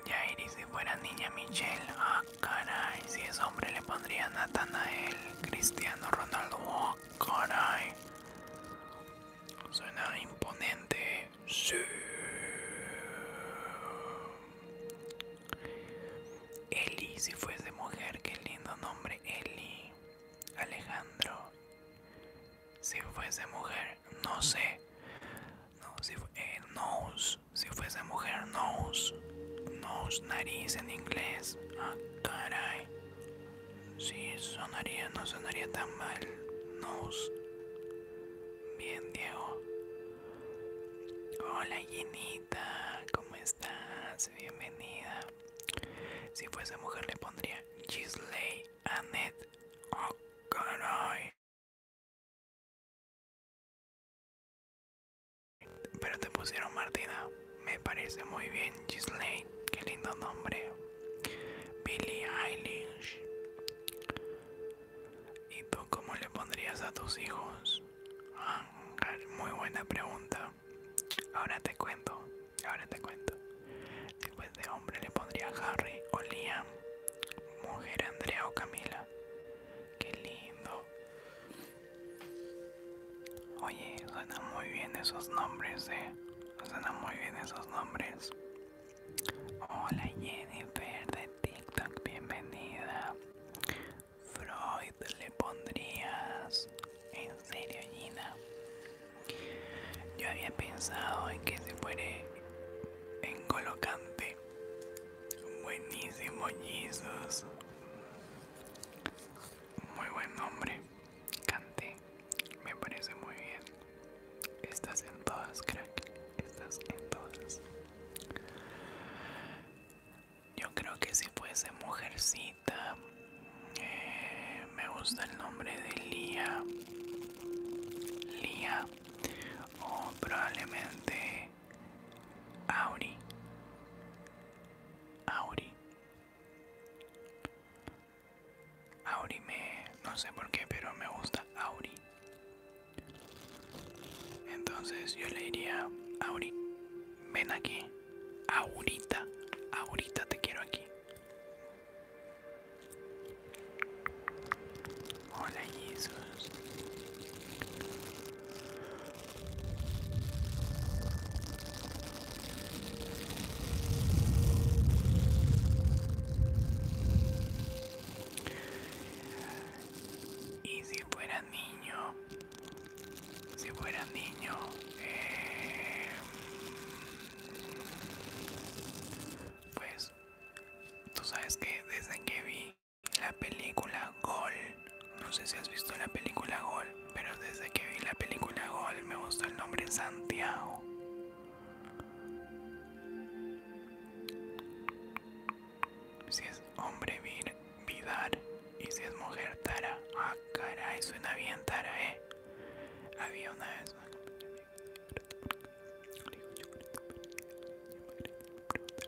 Jairi, si fuera niña Michelle, ah caray, si es hombre le pondría Natanael, Cristiano Ronaldo, oh caray. Suena imponente, sí. Eli, si fuese mujer, qué lindo nombre, Eli. Alejandro, si fuese mujer, no sé. No, si fue. Eh, si fuese mujer, nose. Nose, nariz en inglés. Ah, si sonaría, no sonaría tan mal. Nose. Bien, Diego. Hola, Ginita. ¿Cómo estás? Bienvenida. Si fuese mujer, le pondría Gisley Annette. Oh, pero te pusieron Martina, me parece muy bien, Gisley, qué lindo nombre. Billy Eilish. ¿Y tú cómo le pondrías a tus hijos? muy buena pregunta. Ahora te cuento, ahora te cuento. Después de hombre le pondría Harry o Liam, mujer Andrea o Camila, Qué lindo. Oye, suenan muy bien esos nombres, eh. Suenan muy bien esos nombres. Hola Jennifer de TikTok, bienvenida. Freud le pondrías. En serio, Gina. Yo había pensado en que se fuere en colocante Buenísimo, Jesus. Muy buen nombre. cante Me parece muy bien. Estás en todas, crack. Estás en todas. Yo creo que si fuese mujercita. Eh, me gusta el nombre de Lía. Lía. O probablemente Auri. Auri. Auri me... no sé por qué, pero me gusta Auri. Entonces yo le diría, Auri, ven aquí. Ahorita, ahorita te quiero aquí. Hola Jesús. Y si fuera niño, si fuera niño, eh, pues tú sabes que desde que vi la película Gol. No sé si has visto la película Gol, pero desde que vi la película Gol me gustó el nombre Santiago. Si es hombre vir, Vidar y si es mujer Tara. Ah, caray, suena bien Tara, eh. Había una vez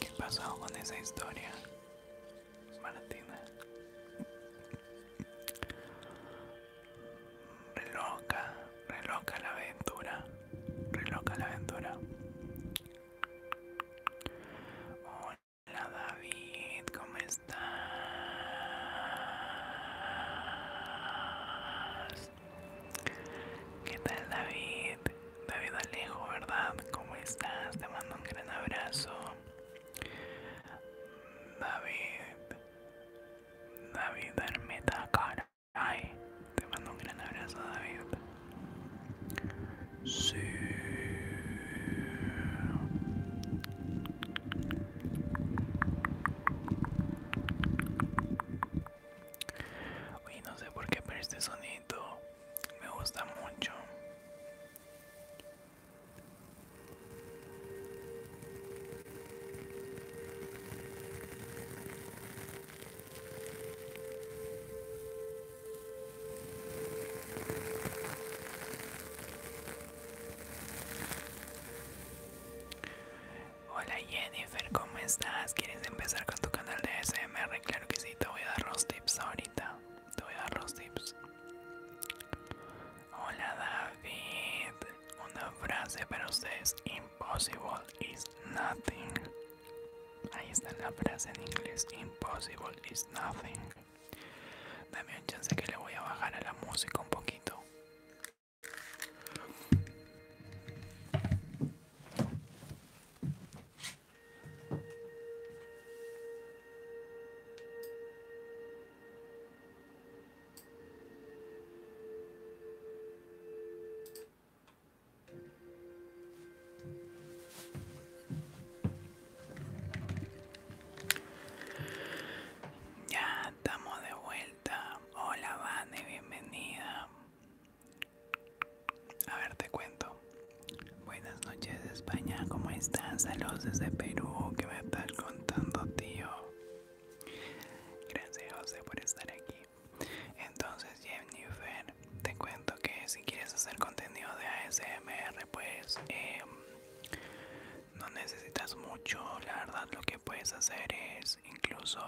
¿Qué pasó con esa historia, Martina? Reloca, reloca la aventura, reloca la aventura. Hola David, ¿cómo estás? ¿Qué tal David? David Alejo, ¿verdad? ¿Cómo estás? Te mando un gran abrazo. David. David cara. Ay, Te mando un gran abrazo, David. Sí. Y no sé por qué, pero este sonido me gusta mucho. Hola Jennifer, ¿cómo estás? ¿Quieres empezar con tu canal de SMR? Claro que sí, te voy a dar los tips ahorita. Te voy a dar los tips. Hola David, una frase para ustedes: Impossible is nothing. Ahí está la frase en inglés: Impossible is nothing. Dame un chance que le voy a bajar a la música un poquito. Ya estamos de vuelta. Hola, Vane, bienvenida. A ver, te cuento. Buenas noches, España. ¿Cómo estás? Saludos desde Perú. ¿Qué me estar contando, tío? Gracias, José, por estar aquí. Entonces, Jennifer, te cuento que si quieres hacer contenido de ASMR, pues em, no necesitas mucho. La verdad, lo que puedes hacer es incluso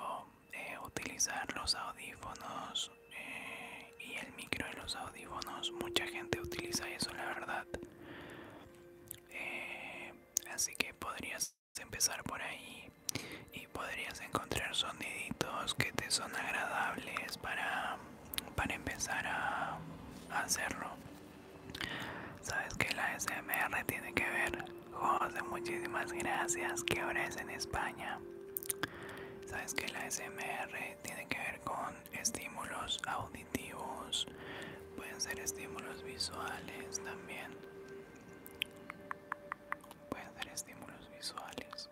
eh, utilizar los audífonos eh, y el micro de los audífonos mucha gente utiliza eso la verdad eh, así que podrías empezar por ahí y podrías encontrar soniditos que te son agradables para, para empezar a, hacerlo sabes que la smr tiene que ver José muchísimas gracias que ahora es en españa Sabes que la SMR tiene que ver con estímulos auditivos, pueden ser estímulos visuales también. Pueden ser estímulos visuales.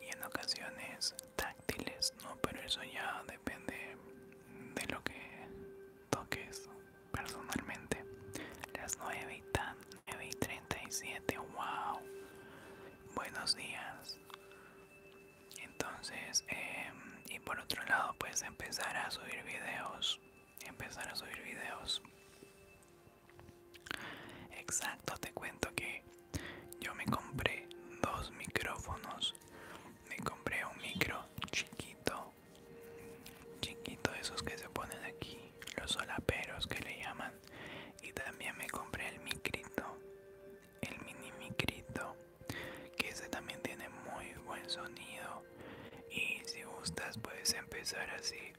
Y en ocasiones táctiles, ¿no? Pero eso ya depende de lo que toques personalmente. Las 9 y, tan, 9 y 37, wow. Buenos días. Entonces, em, y por otro lado, pues empezar a subir videos. Empezar a subir videos. Exacto, te cuento que yo me compré dos micrófonos. Me compré un micro chiquito chiquito esos que se ponen aquí los solaperos que le llaman y también me compré el micrito el mini micrito que ese también tiene muy buen sonido y si gustas puedes empezar así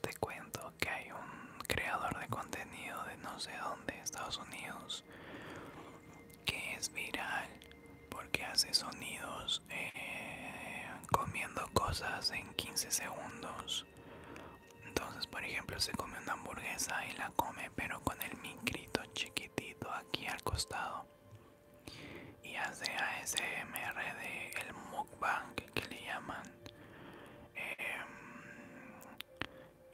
te cuento que hay un creador de contenido de no sé dónde Estados Unidos que es viral porque hace sonidos eh, comiendo cosas en 15 segundos. Entonces, por ejemplo, se come una hamburguesa y la come, pero con el micrito chiquitito aquí al costado. Y hace ASMR de el mukbang que le llaman. Em,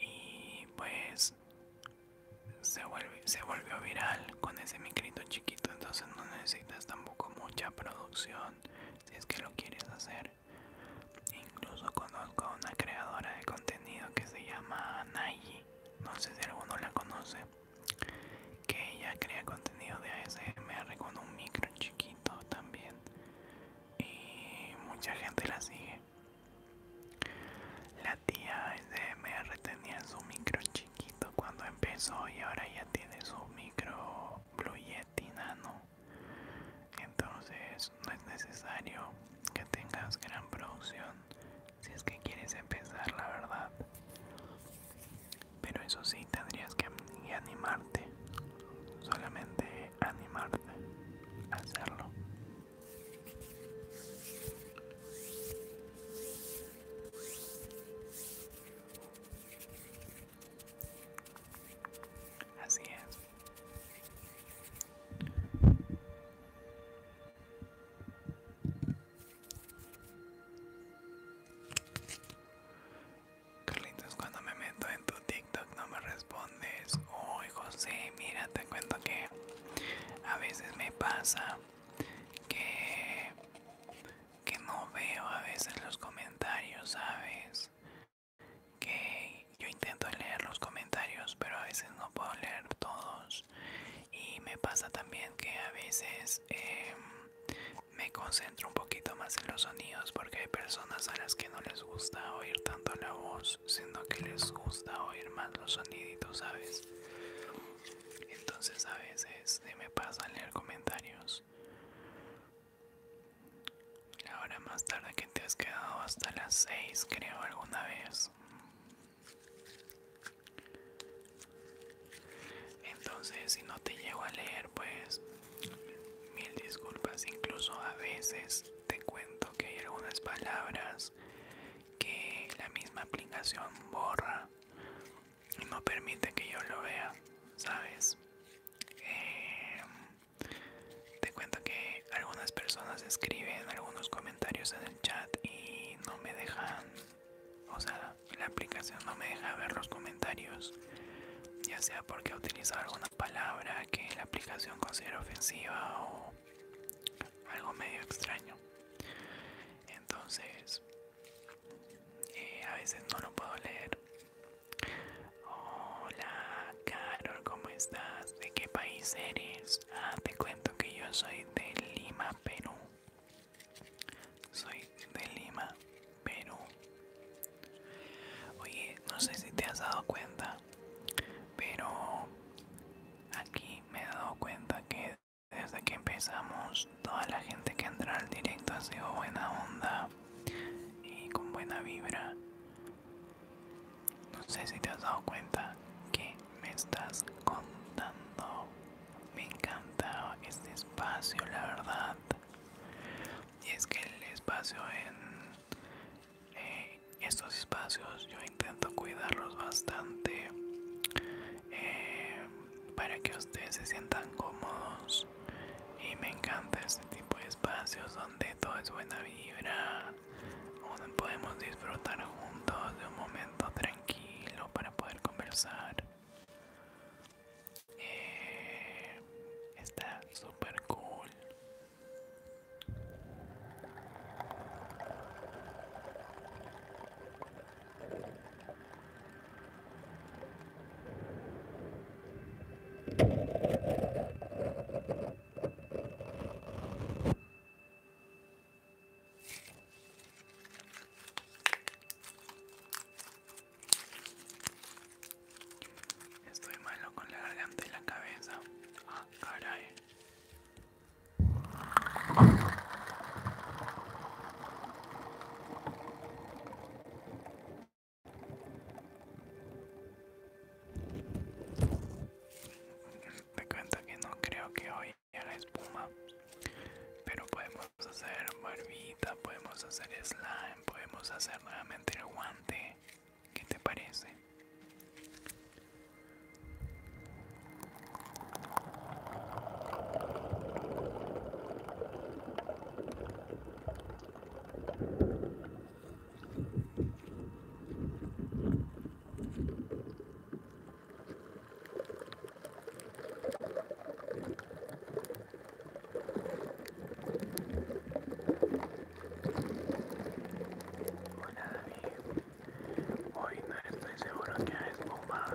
y pues se, vuelve, se volvió viral con ese micrito chiquito, entonces no necesitas tampoco mucha producción si es que lo quieres hacer. Incluso conozco a una creadora de contenido que se llama Nayi, no sé si alguno la conoce, que ella crea contenido de ASMR con un micro chiquito también y mucha gente la sigue tía SMR tenía su micro chiquito cuando empezó y ahora ya tiene su micro Blue Yeti Nano. Entonces no es necesario que tengas gran producción si es que quieres empezar, la verdad. Pero eso sí, tendrías que animarte. Solamente animarte a hacerlo. Así es. Carlitos, cuando me meto en tu TikTok no me respondes. Uy, José, mira, te cuento que a veces me pasa que, que no veo a veces los comentarios, ¿sabes? Que yo intento leer los comentarios, pero a veces no puedo leer todos. Y me pasa también que a veces em, me concentro un poquito más en los sonidos porque hay personas a las que no les gusta oír tanto la voz, sino que les gusta oír más los soniditos, ¿sabes? Entonces a veces me pasa leer comentarios. Ahora más tarde que te has quedado hasta las 6 creo alguna vez. Entonces si no te llego a leer pues mil disculpas. Incluso a veces te cuento que hay algunas palabras que la misma aplicación borra no permite que yo lo vea, ¿sabes? Em, te cuento que algunas personas escriben algunos comentarios en el chat y no me dejan, o sea, la aplicación no me deja ver los comentarios, ya sea porque ha utilizado alguna palabra que la aplicación considera ofensiva o algo medio extraño. Entonces, eh, a veces no lo puedo leer. Hola, Carol, ¿cómo estás? ¿De qué país eres? Ah, te cuento que yo soy de Lima, Perú. Soy de Lima, Perú. Oye, no sé si te has dado cuenta, pero aquí me he dado cuenta que desde que empezamos, toda la gente que entra al directo ha sido buena onda y con buena vibra. No sé si te has dado cuenta que me estás contando. Me encanta este espacio, la verdad. Y es que el espacio en eh, estos espacios yo intento cuidarlos bastante. Eh, para que ustedes se sientan cómodos y me encanta este tipo de espacios donde todo es buena vibra donde podemos disfrutar juntos de un momento tranquilo para poder conversar eh, está super cool Estoy malo con la garganta y la cabeza. Ah, caray. Te cuento que no creo que hoy haya la espuma, pero podemos hacer barbita, podemos hacer slime, podemos hacer nuevamente el guante. ¿Qué te parece? Hoy no estoy seguro que es bomba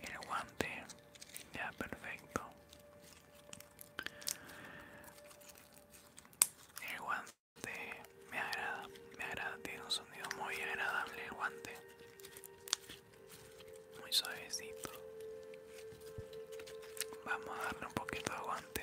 el guante ya perfecto el guante me agrada me agrada tiene un sonido muy agradable el guante muy suavecito vamos a darle un poquito de aguante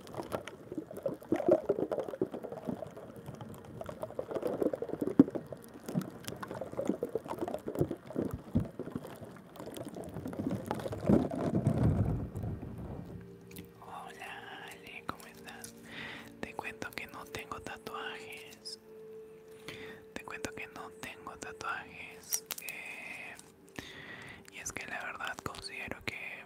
Hola Ale, ¿cómo estás? Te cuento que no tengo tatuajes. Te cuento que no tengo tatuajes. Eh, y es que la verdad considero que,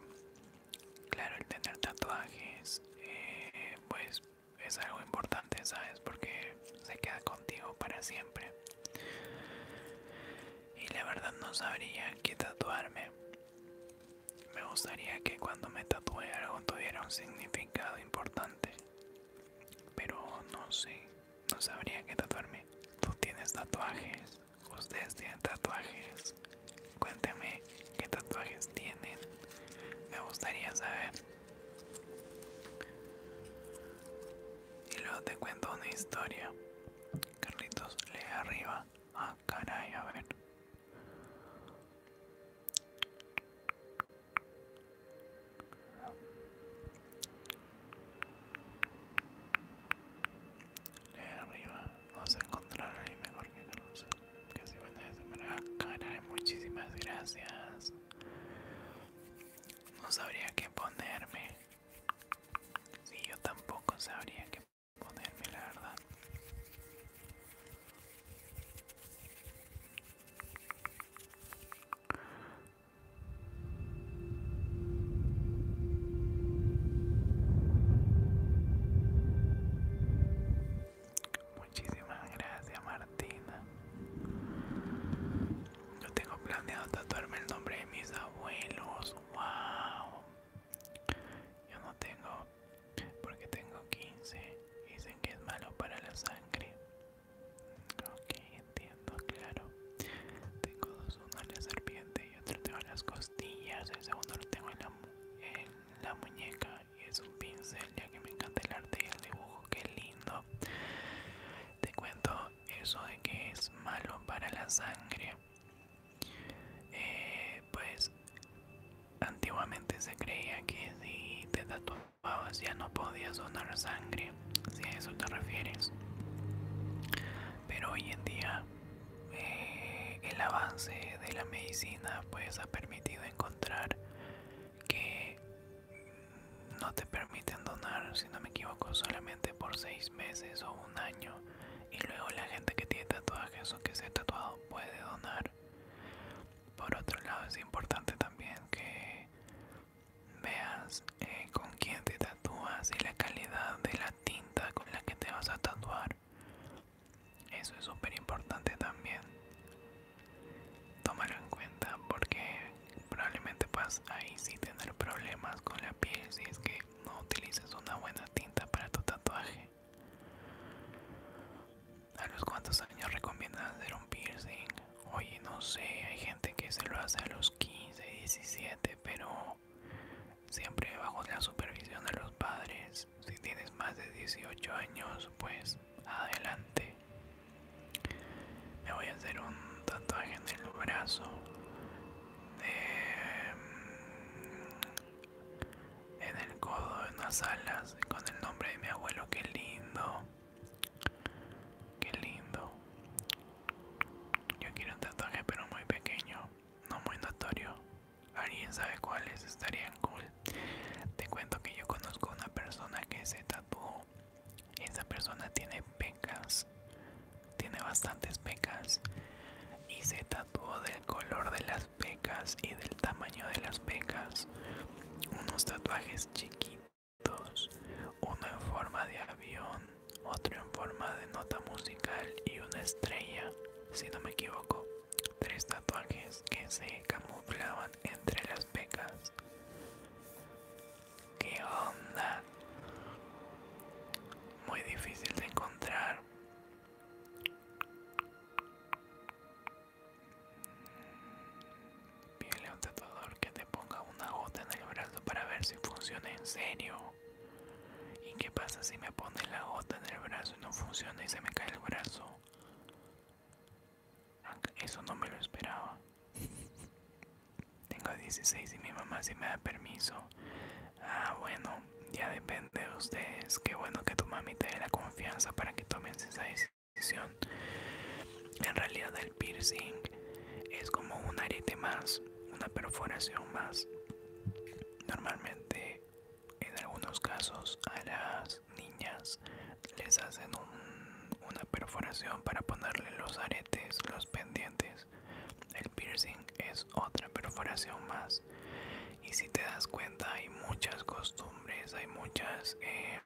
claro, el tener tatuajes, eh, pues es algo importante, ¿sabes? Porque se queda contigo para siempre. Y la verdad no sabría qué tatuarme. Me gustaría que cuando me tatué algo tuviera un significado importante. Pero no sé, no sabría qué tatuarme. ¿Tú tienes tatuajes? ustedes tienen tatuajes cuénteme qué tatuajes tienen me gustaría saber y luego te cuento una historia Carlitos lee arriba ah caray a ver eh, arriba vamos a encontrar la mejor que conoce que si van a cara muchísimas gracias no sabría qué ponerme si yo tampoco sabría qué ponerme la verdad Muchísimas gracias, Martina. Yo tengo planeado tatuarme el nombre de mis abuelos. ¡Wow! Yo no tengo, porque tengo 15. Dicen que es malo para la sangre. Ok, entiendo, claro. Tengo dos, una la serpiente otro tengo en las costillas, el segundo lo tengo en la, muñeca y es un pincel ya que me encanta el arte y el dibujo, que lindo. Te cuento eso de que es malo para la sangre. Eh, pues antiguamente se creía que si te tatuabas ya no podías donar sangre, si a eso te refieres pero hoy en día eh, el avance de la medicina pues ha permitido encontrar que no te permiten donar, si no me equivoco, solamente por seis meses o un año. Y luego la gente que tiene tatuajes o que se ha tatuado puede donar. Por otro lado, es importante también que veas eh, con quién te tatúas y la calidad de la tinta con la que te vas a tatuar. Eso es súper importante también. Tómalo en cuenta porque probablemente vas ahí sí tener problemas con la piel si es que no utilizas una buena tinta para tu tatuaje. ¿A los cuantos años recomiendas hacer un piercing? Oye, no sé, hay gente que se lo hace a los 15, 17, pero siempre bajo la supervisión de los padres. Si tienes más de 18 años, pues adelante. Me voy a hacer un tatuaje en el brazo mm, en el codo, en las alas, con el nombre de mi abuelo. Qué lindo, qué lindo. Yo quiero un tatuaje, pero muy pequeño no muy notorio. ¿Alguien sabe cuáles estarían cool? Te cuento que yo conozco una persona que se tatuó. Esa persona tiene pecas, tiene bastantes pecas y se tatuó del color de las pecas y del tamaño de las pecas. Unos tatuajes chiquitos, uno en forma de avión, otro en forma de nota musical y una estrella, si no me equivoco, tres tatuajes que se camuflaban entre las pecas. ¿Qué onda? Muy difícil de encontrar. Pídele a un tatuador que te ponga una gota en el brazo para ver si funciona en serio. ¿Y qué pasa si me pone la gota en el brazo y no funciona y se me cae el brazo? Eso no me lo esperaba. Tengo 16 y mi mamá sí me da permiso. Ah, bueno, ya depende de ustedes. Qué bueno que tu mami te dé la confianza para que tomes esa decisión. En realidad el piercing es como un arete más, una perforación más. Normalmente en algunos casos a las niñas les hacen una perforación para ponerle los aretes, los pendientes. El piercing es otra perforación más. Y si te das cuenta hay muchas costumbres, hay muchas... Eh,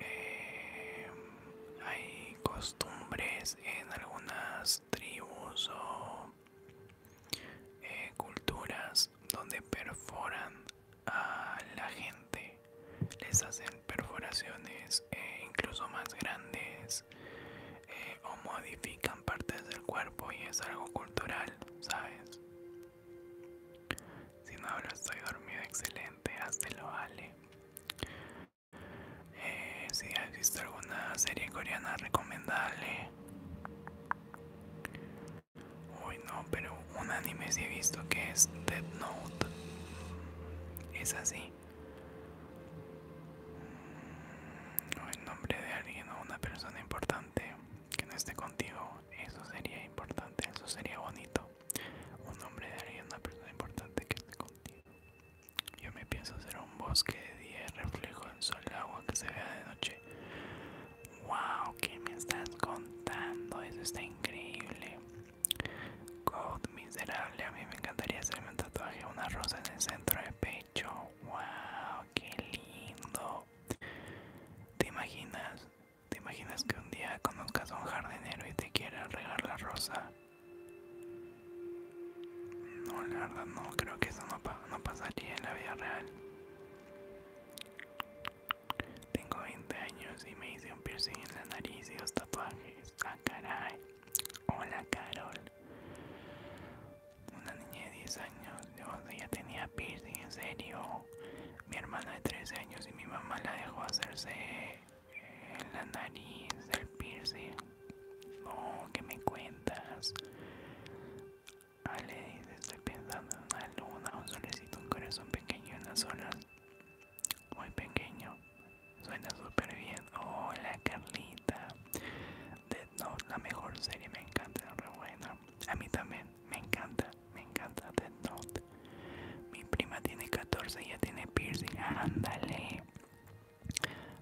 eh, hay costumbres en algunas tribus o eh, culturas donde perforan a la gente, les hacen perforaciones eh, incluso más grandes eh, o modifican partes del cuerpo y es algo cultural, ¿sabes? Si no hablo estoy dormido, excelente, hazte lo vale. Eh, si has visto alguna serie coreana recomendable uy no pero un anime si he visto que es Dead Note es así mm, el nombre de alguien o una persona importante que no esté contigo eso sería importante eso sería bonito un nombre de alguien o una persona importante que esté contigo yo me pienso hacer un bosque de día, reflejo en sol, agua que se vea de noche. ¡Wow! ¿Qué me estás contando? Eso está increíble. God miserable, a mí me encantaría hacerme un tatuaje, una rosa en el centro del pecho. ¡Wow! ¡Qué lindo! ¿Te imaginas? ¿Te imaginas que un día conozcas a un jardinero y te quiera regar la rosa? No, la verdad no, creo que eso no, pasaría en la vida real. Tengo 20 años y me hice un piercing en la nariz y dos tatuajes. Ah, caray. Hola, Carol. Una niña de 10 años, yo ya tenía piercing, en serio. Mi hermana de 13 años y mi mamá la dejó hacerse en la nariz el piercing. No, que me cuentas? Ale estoy pensando en una luna, un solecito, un corazón pequeño en las olas. Muy pequeño. Suena súper bien. Hola Carlita. Dead Note, la mejor serie, me encanta, buena. A mí también, me encanta, me encanta Dead Note. Mi prima tiene 14 ya tiene piercing. Ándale.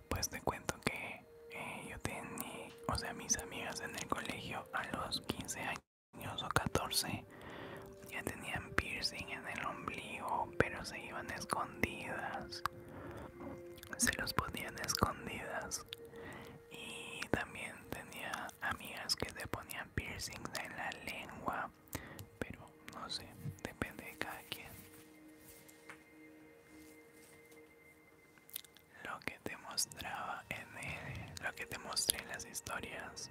Pues te cuento que eh, yo tenía, o sea, mis amigas en el colegio a los 15 años o 14 ya tenían piercing en el ombligo, pero se iban escondidas. Se los ponían escondidas. Y también tenía amigas que se ponían piercing en la lengua, pero no sé, depende de cada quien. Lo que te mostraba en él lo que te mostré en las historias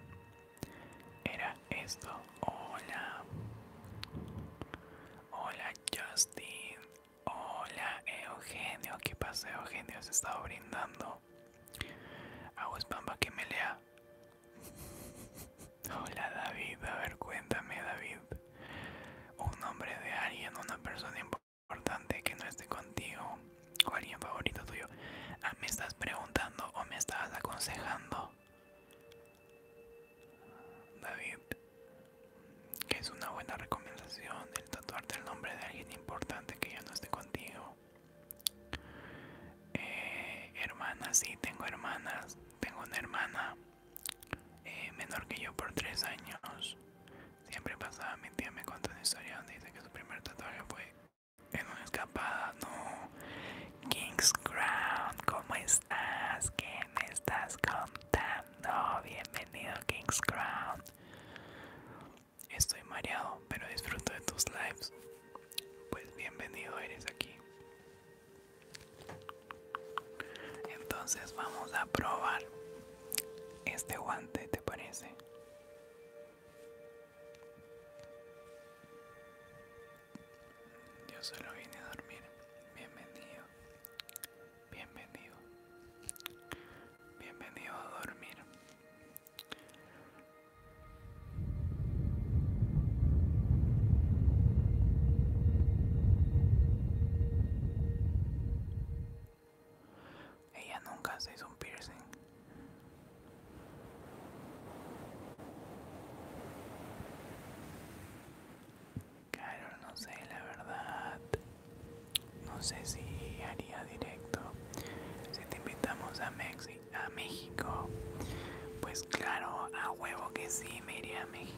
era esto. Hola. Hola Justin. Hola Eugenio. ¿Qué pasa Eugenio? Se estaba brindando. Aguas Pampa que me lea. Hola David, a ver cuéntame David, un nombre de alguien, una persona importante que no esté contigo o alguien favorito tuyo. Ah, ¿Me estás preguntando o me estabas aconsejando? David, que es una buena recomendación el tatuarte el nombre de alguien importante que ya no esté contigo. Eh, hermanas, sí, tengo hermanas, tengo una hermana eh, menor que yo por 3 años. Siempre pasaba, mi tía me cuenta una historia donde dice que su primer tatuaje fue en una escapada. No, King's Crown, ¿cómo estás? ¿Qué me estás contando? Bienvenido, King's Crown. Estoy mareado, pero disfruto de tus lives. Pues bienvenido eres aquí. Entonces vamos a probar este guante, ¿te parece? Yo solo vine a dormir. Bienvenido. Bienvenido. Bienvenido a dormir. Ella nunca se hizo un piercing. Claro, no sé, la verdad. No sé si haría directo. Si te invitamos a, Mexi a México, pues claro, a huevo que sí, me iría a México.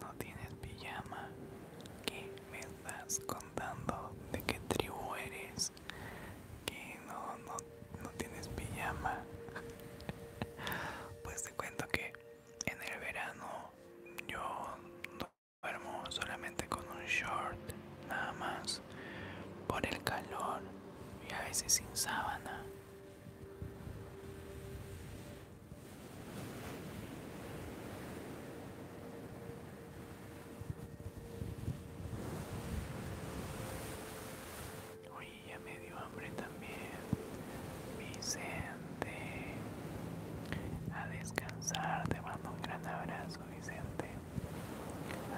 ¿No tienes pijama? ¿Qué me estás contando? ¿De qué tribu eres? Que no, no, tienes pijama. <laughs> Pues te cuento que en el verano yo duermo solamente con un short, nada más, por el calor y a veces sin sábana. Uy, ya me dio hambre también. Vicente. A descansar. Te mando un gran abrazo, Vicente.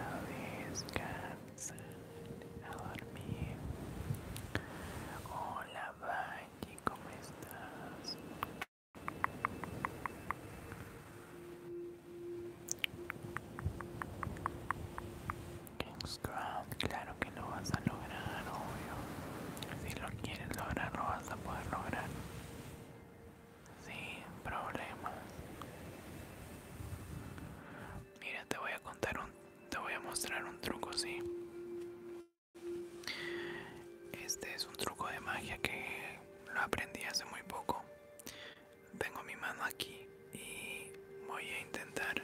A descansar a dormir. Hola, Valle, ¿cómo estás? King's claro que lo vas a lograr, obvio. Si lo quieres lograr, lo vas a poder lograr. Sin problemas. Mira, te voy a contar un te voy a mostrar un truco sí este es un truco de magia que lo aprendí hace muy poco tengo mi mano aquí y voy a intentar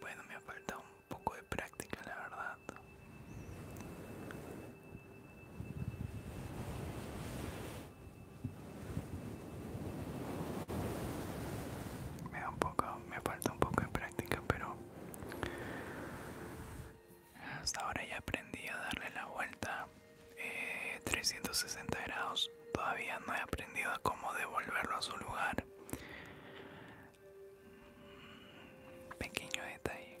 bueno, me ha un poco de práctica, la verdad. Me da un poco, me falta un poco de práctica, pero hasta ahora ya aprendí a darle la vuelta 360 eh, grados. Todavía no he aprendido a cómo devolverlo a su lugar. Pequeño detalle.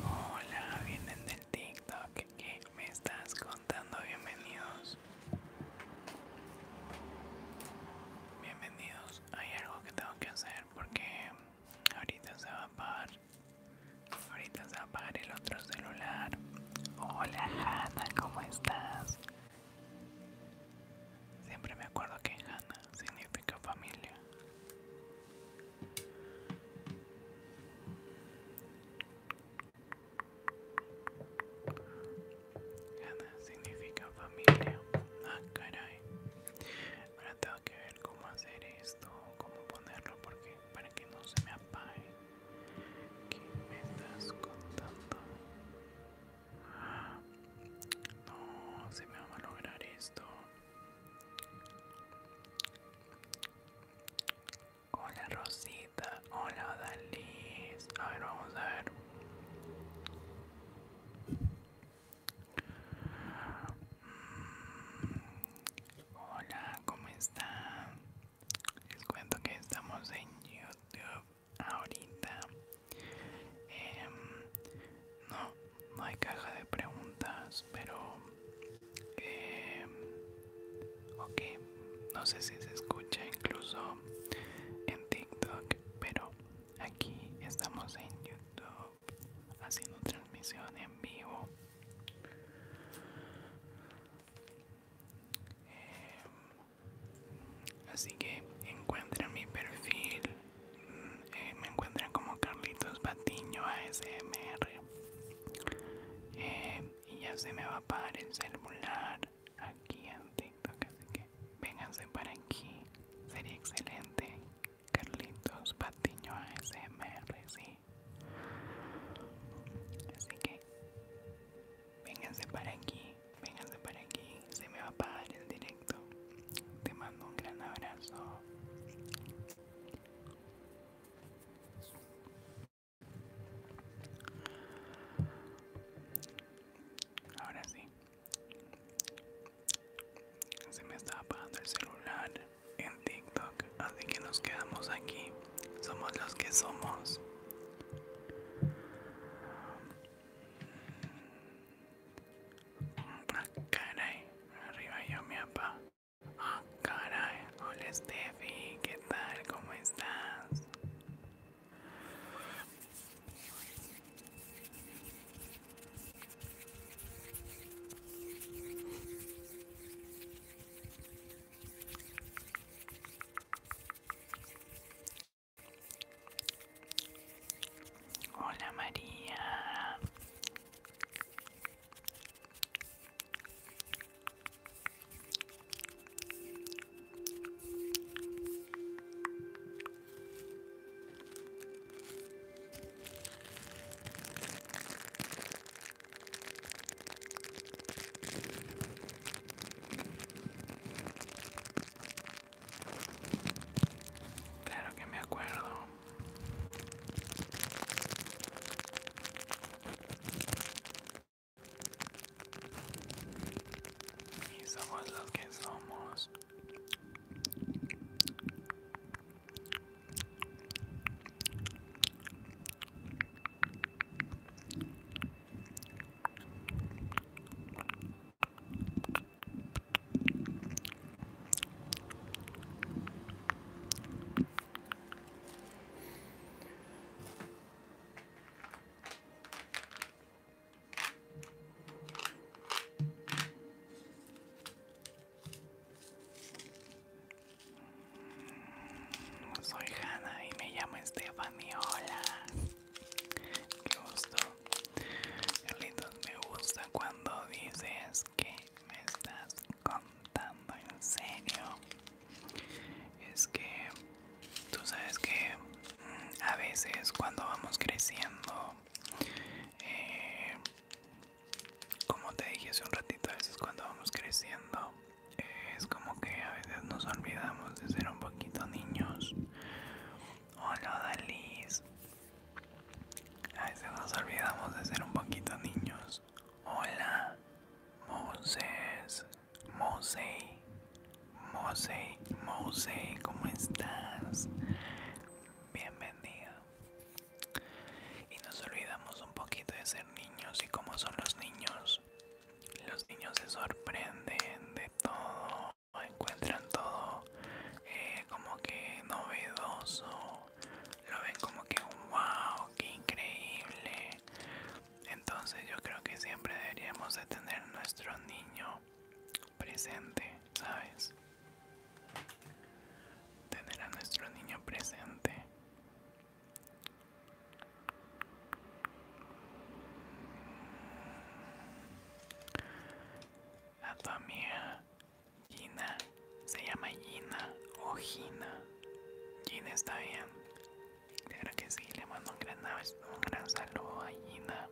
Hola, vienen del TikTok me estás contando? Bienvenidos. Bienvenidos. Hay algo que tengo que hacer porque ahorita se va a apagar. Ahorita se va a apagar el otro celular. Hola Hanna, ¿cómo estás? Siempre me acuerdo que Hanna significa familia. Gana significa familia. Ah, caray. Ahora tengo que ver cómo hacer esto, cómo ponerlo, porque para que no se me apague. ¿Qué me estás contando? No, se me va a lograr esto. Hola Rosita, hola Dalis. A ver, vamos a ver. Hola, ¿cómo están? Les cuento que estamos en YouTube ahorita. Em, no, no hay caja de preguntas, pero em, ok no sé si se escucha incluso en tiktok pero aquí estamos en youtube haciendo transmisión en vivo em, así que encuentran mi perfil mm, eh, me encuentran como Carlitos Batiño ASMR em, y ya se me va a pagar el celular aquí en TikTok, así que vénganse para aquí, sería excelente. Carlitos Patiño ASMR, sí. Así que vénganse para aquí, vénganse para aquí, se me va a pagar el directo. Te mando un gran abrazo. Ahora sí. Se me está apagando el celular en TikTok, así que nos quedamos aquí. Somos los que somos. Ah, caray, arriba yo mi apa Ah, caray, hola Steffi, ¿qué tal? ¿Cómo estás? Hola María. Claro que me acuerdo. Y somos los que somos. Soy Hanna y me llamo Stephanie. Hola. gusto. lindo me gusta cuando dices que me estás contando en serio es que tú sabes que mm, a veces cuando vamos creciendo eh, como te dije hace un ratito a veces cuando vamos creciendo es como que a veces nos olvidamos de ser un poquito niños hola Dalis a veces nos olvidamos de ser un poquito niños hola Moses Mosey, Mosey, Mosey, ¿cómo estás? Bienvenida. Y nos olvidamos un poquito de ser niños y cómo son los niños. Los niños se sorprenden de todo, encuentran todo eh, como que novedoso, lo ven como que un wow, que increíble. Entonces yo creo que siempre deberíamos de tener nuestro niño presente, ¿sabes? Tener a nuestro niño presente. A tu amiga Gina se llama Gina o Gina. Gina está bien. Claro que sí, le mando un gran, un gran saludo a Gina,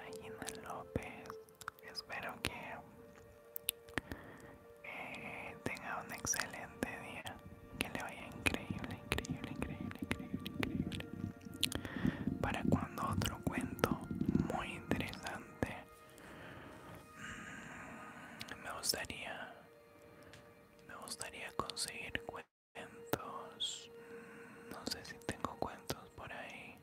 a Gina López. Espero que eh, tenga un excelente día, que le vaya increíble, increíble, increíble, increíble, increíble. Para cuando otro cuento muy interesante, mm, me gustaría, me gustaría conseguir cuentos cuentos. No sé si tengo cuentos por ahí.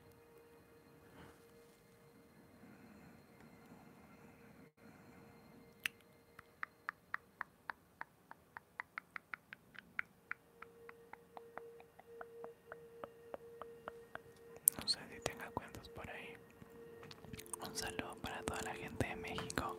No sé si tenga cuentos por ahí. Un saludo para toda la gente de México.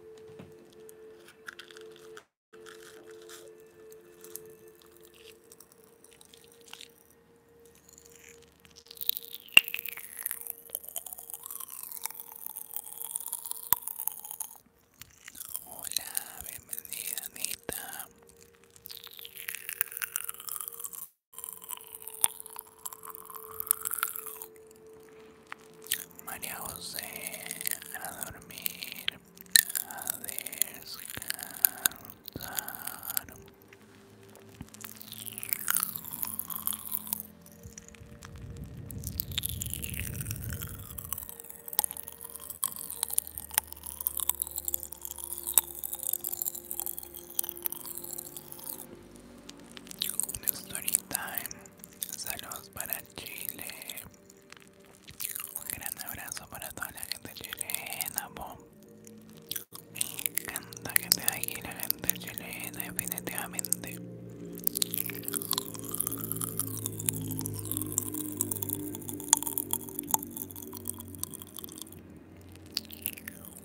Hola, bienvenida Anita. María José, a dormir, a descansar. Story time. Saludos para Chile. Un gran abrazo para toda la gente chilena, Me encanta que esté aquí la gente chilena, definitivamente.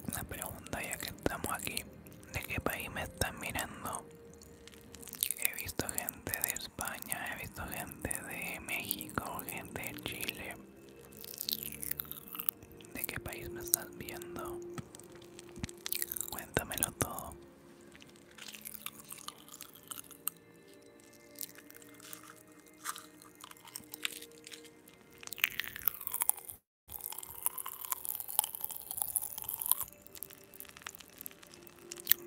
Una pregunta ya que estamos aquí. ¿De qué país me están mirando? He visto gente de España, he visto gente de México, gente de Chile. ¿De qué país me estás viendo? Cuéntamelo todo.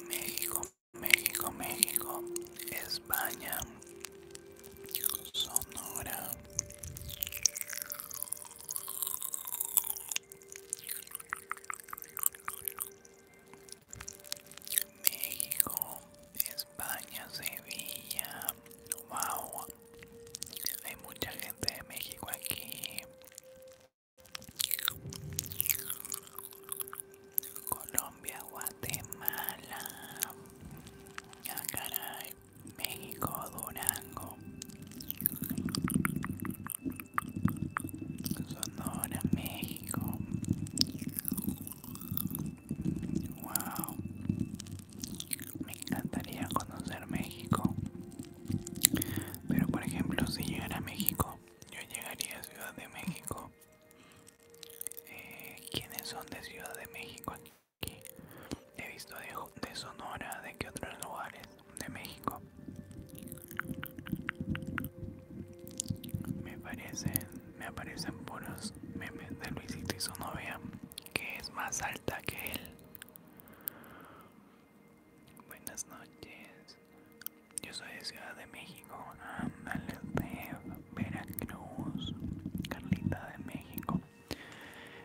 México, México, México, España, Sonora. México, España, Sevilla, wow, hay mucha gente de México aquí, Colombia, Guatemala, ah, México, Durango, Sonora, México. Wow, me encantaría conocer México. Pero por ejemplo, si llegara a México yo llegaría a Ciudad de México. Quienes eh, ¿Quiénes son de Ciudad de México aquí? He visto de, Sonora, de que otros lugares de México. Me parecen, me aparecen puros memes de Luisito y su novia, que es más alta que él. Buenas noches. Yo soy de Ciudad de México. Ándale, de Veracruz. Carlita de México.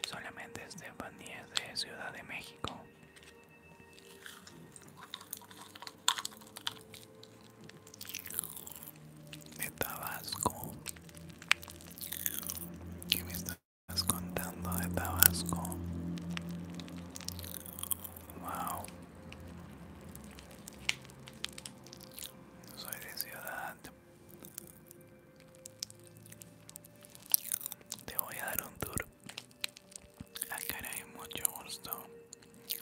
Solamente Estefanía es de Ciudad de México. De Tabasco. ¿Qué me estás contando de Tabasco? Wow. Soy de ciudad. Te voy a dar un tour. Acá ah, hay mucho gusto.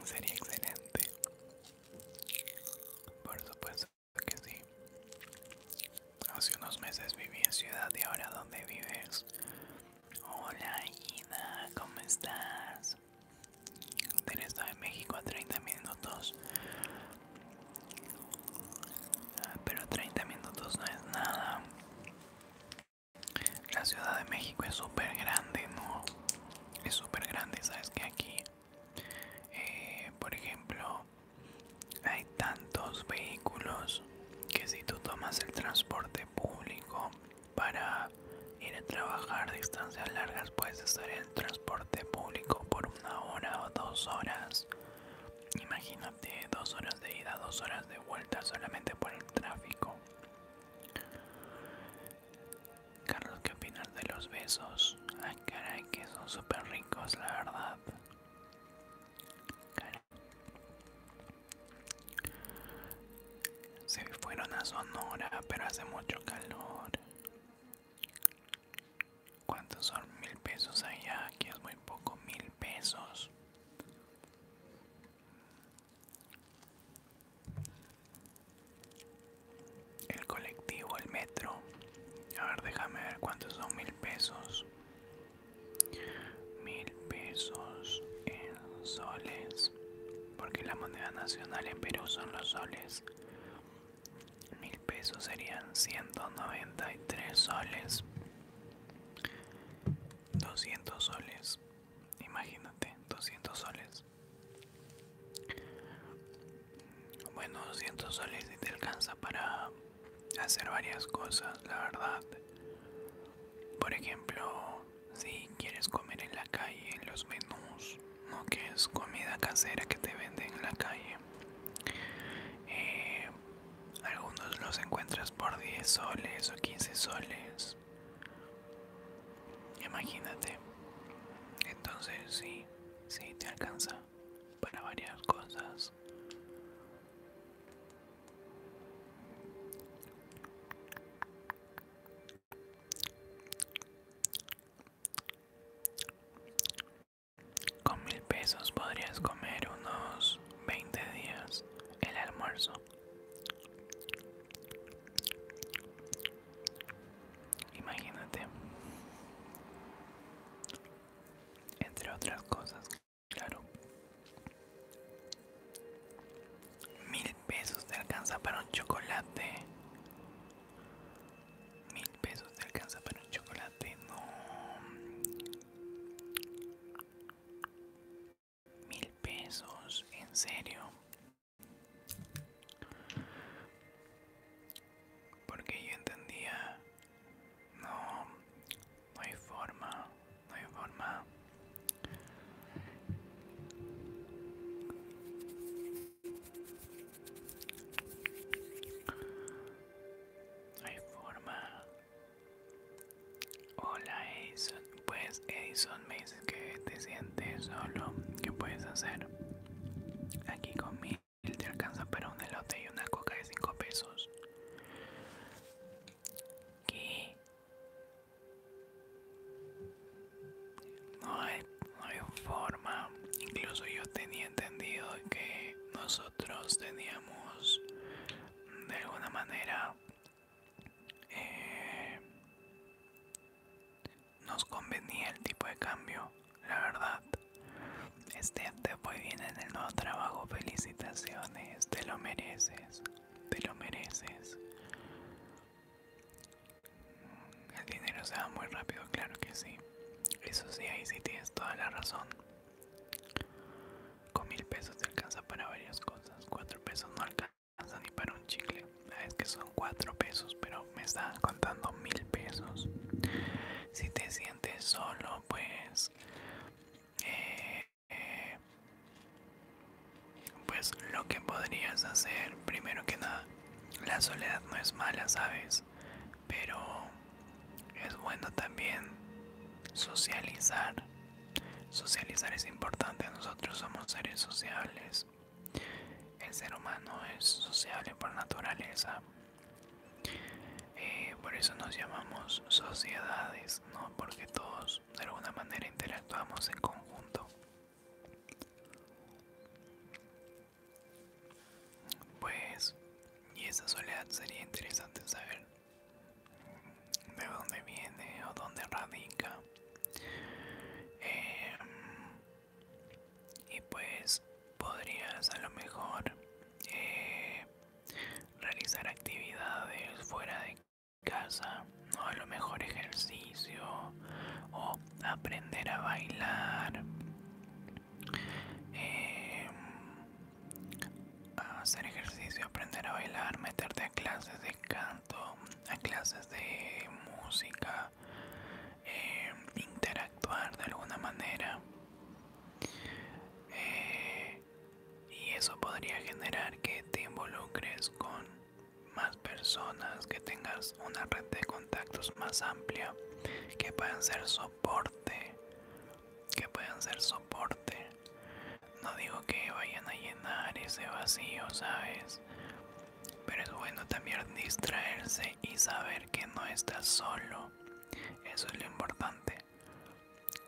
Sería excelente. Por supuesto que sí. Hace unos meses viví en ciudad y ahora donde vives Hola Ida, ¿cómo estás? Del Estado de México a 30 minutos. Ah, pero 30 minutos no es nada. La Ciudad de México es súper grande, ¿no? Es súper grande, ¿sabes? Que aquí, eh, por ejemplo, hay tantos vehículos que si tú tomas el transporte público para ir a trabajar distancias largas puedes estar en transporte público por una hora o dos horas. Imagínate dos horas de ida, dos horas de vuelta solamente por el tráfico. Carlos, ¿qué opinas de los besos? Ay, caray, que son súper ricos, la verdad. Se fueron a Sonora, pero hace mucho calor. ¿Cuántos son mil pesos allá? Aquí es muy poco, mil pesos. El colectivo, el metro. A ver, déjame ver cuántos son mil pesos. Mil pesos en soles, porque la moneda nacional en Perú son los soles. Mil pesos serían 193 soles. 200 soles, imagínate, 200 soles. Bueno, 200 soles si te alcanza para hacer varias cosas, la verdad. Por ejemplo, si quieres comer en la calle, los menús, ¿no? que es comida casera que te venden en la calle. Eh, algunos los encuentras por 10 soles o 15 soles. Imagínate. Entonces sí, sí te alcanza para varias cosas. Con mil pesos podrías comer unos 20 días el almuerzo. Imagínate. Entre otras cosas, claro. Mil pesos te alcanza para un chocolate. Mil pesos te alcanza para un chocolate. No. Mil pesos, en serio. Porque yo entendía, no, no hay forma no hay forma. No hay forma. Hola Edison. Pues Edison me dices que te sientes solo. ¿Qué puedes hacer? Aquí con Él te alcanza para un elote y una coca de 5 pesos. ¿Qué? No hay, forma. Incluso yo tenía entendido que nosotros teníamos de alguna manera eh, nos convenía el tipo de cambio, la verdad. Este te fue bien en el nuevo trabajo, felicitaciones, te lo mereces te lo mereces. El dinero se va muy rápido, claro que sí. Eso sí, ahí sí tienes toda la razón. Con mil pesos te alcanza para varias cosas. Cuatro pesos no alcanza ni para un chicle. Es que son cuatro pesos, pero me están contando mil pesos. Si te sientes solo, pues eh, eh, pues lo que podrías hacer, primero que nada, la soledad no es mala, ¿sabes? Pero es bueno también socializar. Socializar es importante, nosotros somos seres sociables. El ser humano es sociable por naturaleza. Eh, por eso nos llamamos sociedades pues, ¿no? Porque todos de alguna manera interactuamos en conjunto. Pues, y esa soledad sería interesante saber de dónde viene o dónde radica. Eh, y pues podrías a lo mejor eh, realizar actividades fuera de casa, o a lo mejor ejercicio, o aprender a bailar, em, hacer ejercicio, aprender a bailar, meterte a clases de canto, a clases de música, em, interactuar de alguna manera. Eh, y eso podría generar que te involucres con más personas, que tengas una red de contactos más amplia, que puedan ser soporte, que puedan ser soporte. No digo que vayan a llenar ese vacío, ¿sabes? Pero es bueno también distraerse y saber que no estás solo. Eso es lo importante.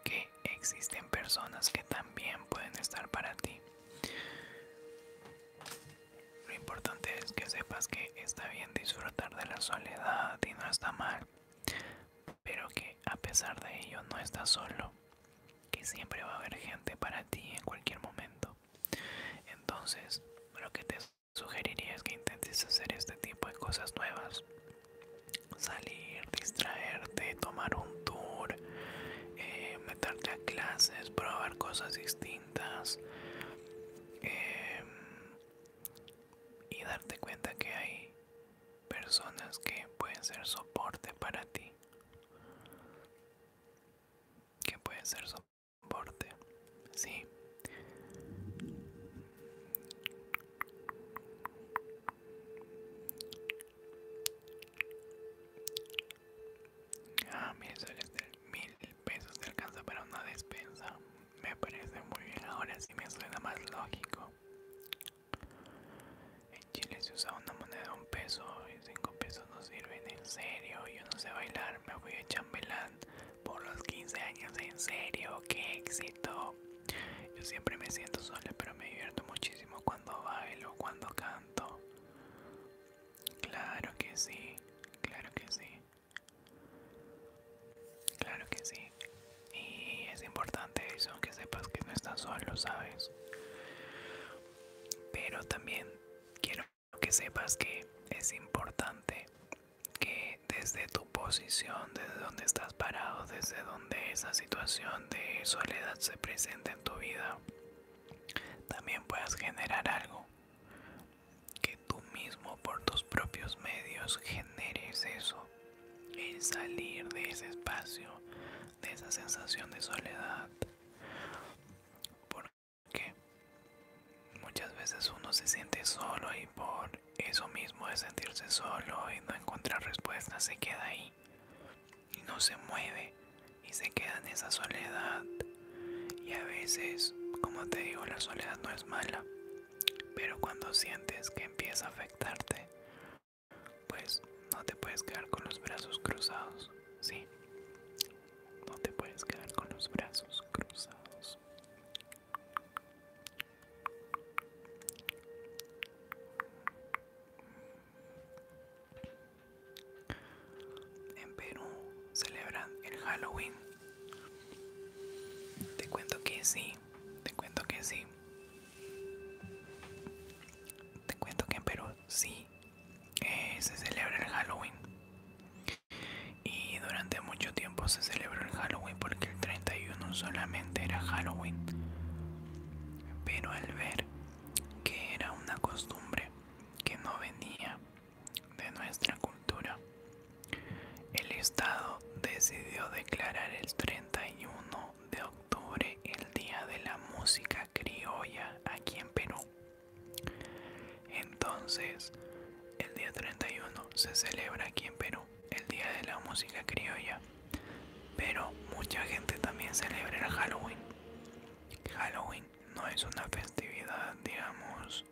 Que existen personas que también pueden estar para ti. Lo importante es que sepas que está bien disfrutar de la soledad y no está mal, pero que a pesar de ello no estás solo, que siempre va a haber gente para ti en cualquier momento. Entonces, lo que te sugeriría es que intentes hacer este tipo de cosas nuevas. Salir, distraerte, tomar un tour, eh, meterte a clases, probar cosas distintas eh, y darte cuenta que hay personas que pueden ser soporte para ti. Que pueden ser soporte, sí. Ah, mil soles mil pesos de alcanza para una despensa. Me parece muy bien, ahora sí me suena más lógico. En Chile se usa una moneda de un peso y cinco pesos no sirven, en serio. Yo no sé bailar, me voy de chambelán por los 15 años, en serio, qué éxito. Yo siempre me siento sola, pero me divierto muchísimo cuando bailo, cuando canto. Claro que sí, claro que sí. Claro que sí. Y es importante eso, que sepas que no estás solo, ¿sabes? Pero también quiero que sepas que es importante que desde tu posición, desde donde estás parado, desde donde esa situación de soledad se presente en tu vida, también puedas generar algo. Que tú mismo por tus propios medios generes eso. El salir de ese espacio, de esa sensación de soledad. Porque muchas veces uno se siente solo y por eso mismo de sentirse solo y no encontrar respuestas se queda ahí y no se mueve y se queda en esa soledad. Y a veces, como te digo, la soledad no es mala, pero cuando sientes que empieza a afectarte, pues no te puedes quedar con los brazos cruzados, ¿sí? No te puedes quedar con los brazos cruzados. En Perú celebran el Halloween. Te cuento que sí, te cuento que sí. Te cuento que en Perú sí eh, se celebra el Halloween. Y durante mucho tiempo se celebró el Halloween porque el 31 solamente era Halloween. Pero al ver que era una costumbre que no venía de nuestra cultura. El Estado decidió declarar el 31 de octubre el Día de la Música Criolla aquí en Perú. Entonces, el día 31 se celebra aquí en Perú el Día de la Música Criolla, pero mucha gente también celebra el Halloween. Halloween no es una festividad, digamos,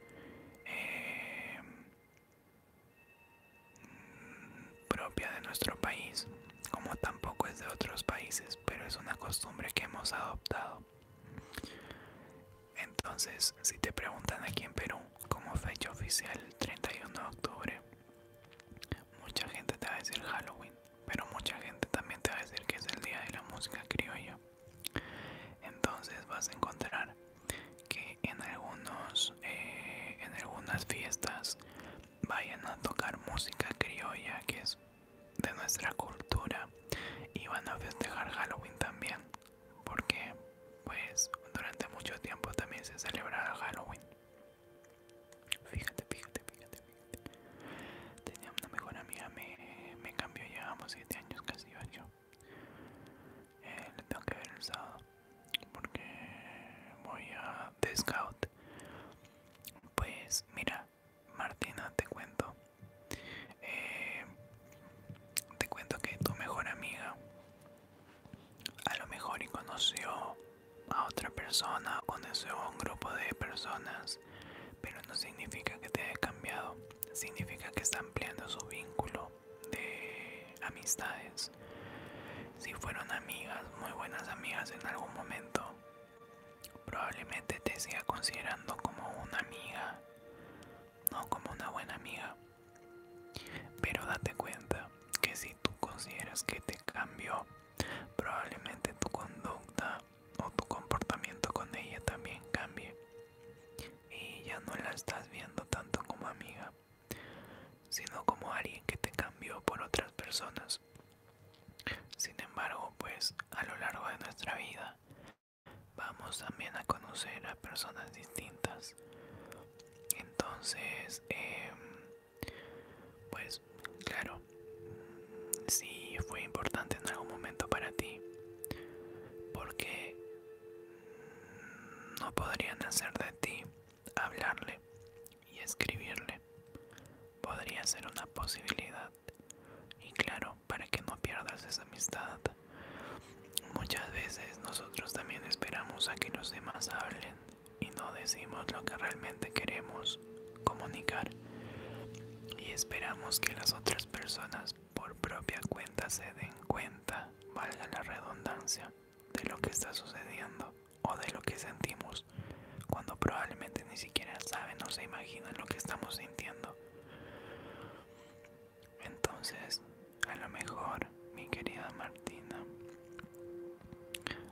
em, propia de nuestro país, como tampoco es de otros países, pero es una costumbre que hemos adoptado. Entonces, si te preguntan aquí en Perú como fecha oficial 31 de octubre, mucha gente te va a decir Halloween pero mucha gente también te va a decir que es el día de la música criolla. Entonces vas a encontrar que en algunos eh, en algunas fiestas vayan a tocar música criolla que es de nuestra cultura y van a festejar Halloween también porque pues durante mucho tiempo también se celebrará Halloween Fíjate, fíjate, fíjate, Tenía una mejor amiga, me, cambió, llevamos 7 años, casi 8. Eh, le tengo que ver el sábado porque voy a The Scout. Pues mira, Martina, te cuento. Eh, te cuento que tu mejor amiga a lo mejor y conoció a otra persona o a un grupo de personas, pero no significa que te haya cambiado, significa que está ampliando su vínculo de amistades. Si fueron amigas, muy buenas amigas en algún momento, probablemente te siga considerando como una amiga, no como una buena amiga. Pero date cuenta que si tú consideras que te cambió, probablemente tu conducta o tu comportamiento con ella también cambie y ya no la estás viendo tanto como amiga sino como alguien que te cambió por otras personas sin embargo pues a lo largo de nuestra vida vamos también a conocer a personas distintas entonces em, pues claro, sí fue importante en algún momento para ti, porque no podrían hacer de ti hablarle y escribirle. Podría ser una posibilidad. Y claro, para que no pierdas esa amistad. Muchas veces nosotros también esperamos a que los demás hablen y no decimos lo que realmente queremos comunicar y esperamos que las otras personas por propia cuenta se den cuenta, valga la redundancia, de lo que está sucediendo o de lo que sentimos cuando probablemente ni siquiera saben o se imaginan lo que estamos sintiendo. Entonces, a lo mejor, mi querida Martina,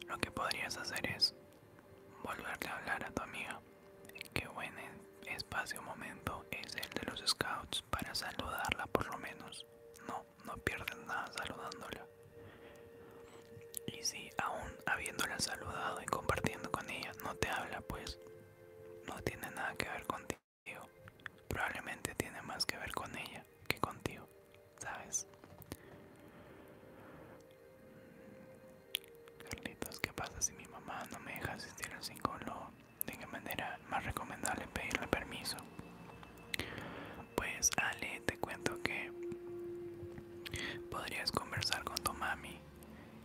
lo que podrías hacer es volverle a hablar a tu amiga. Qué buen e-, espacio momento es el de los scouts para saludarla por lo menos. No, no pierdes nada saludándola. Y si aún habiéndola saludado y compartiendo con ella no te habla, pues no tiene nada que ver contigo. Probablemente tiene más que ver con ella que contigo, ¿sabes? Carlitos, ¿qué pasa si mi mamá no me deja asistir al psicólogo? ¿De qué manera más recomendable pedirle permiso? Pues Ale, te cuento que podrías conversar con tu mami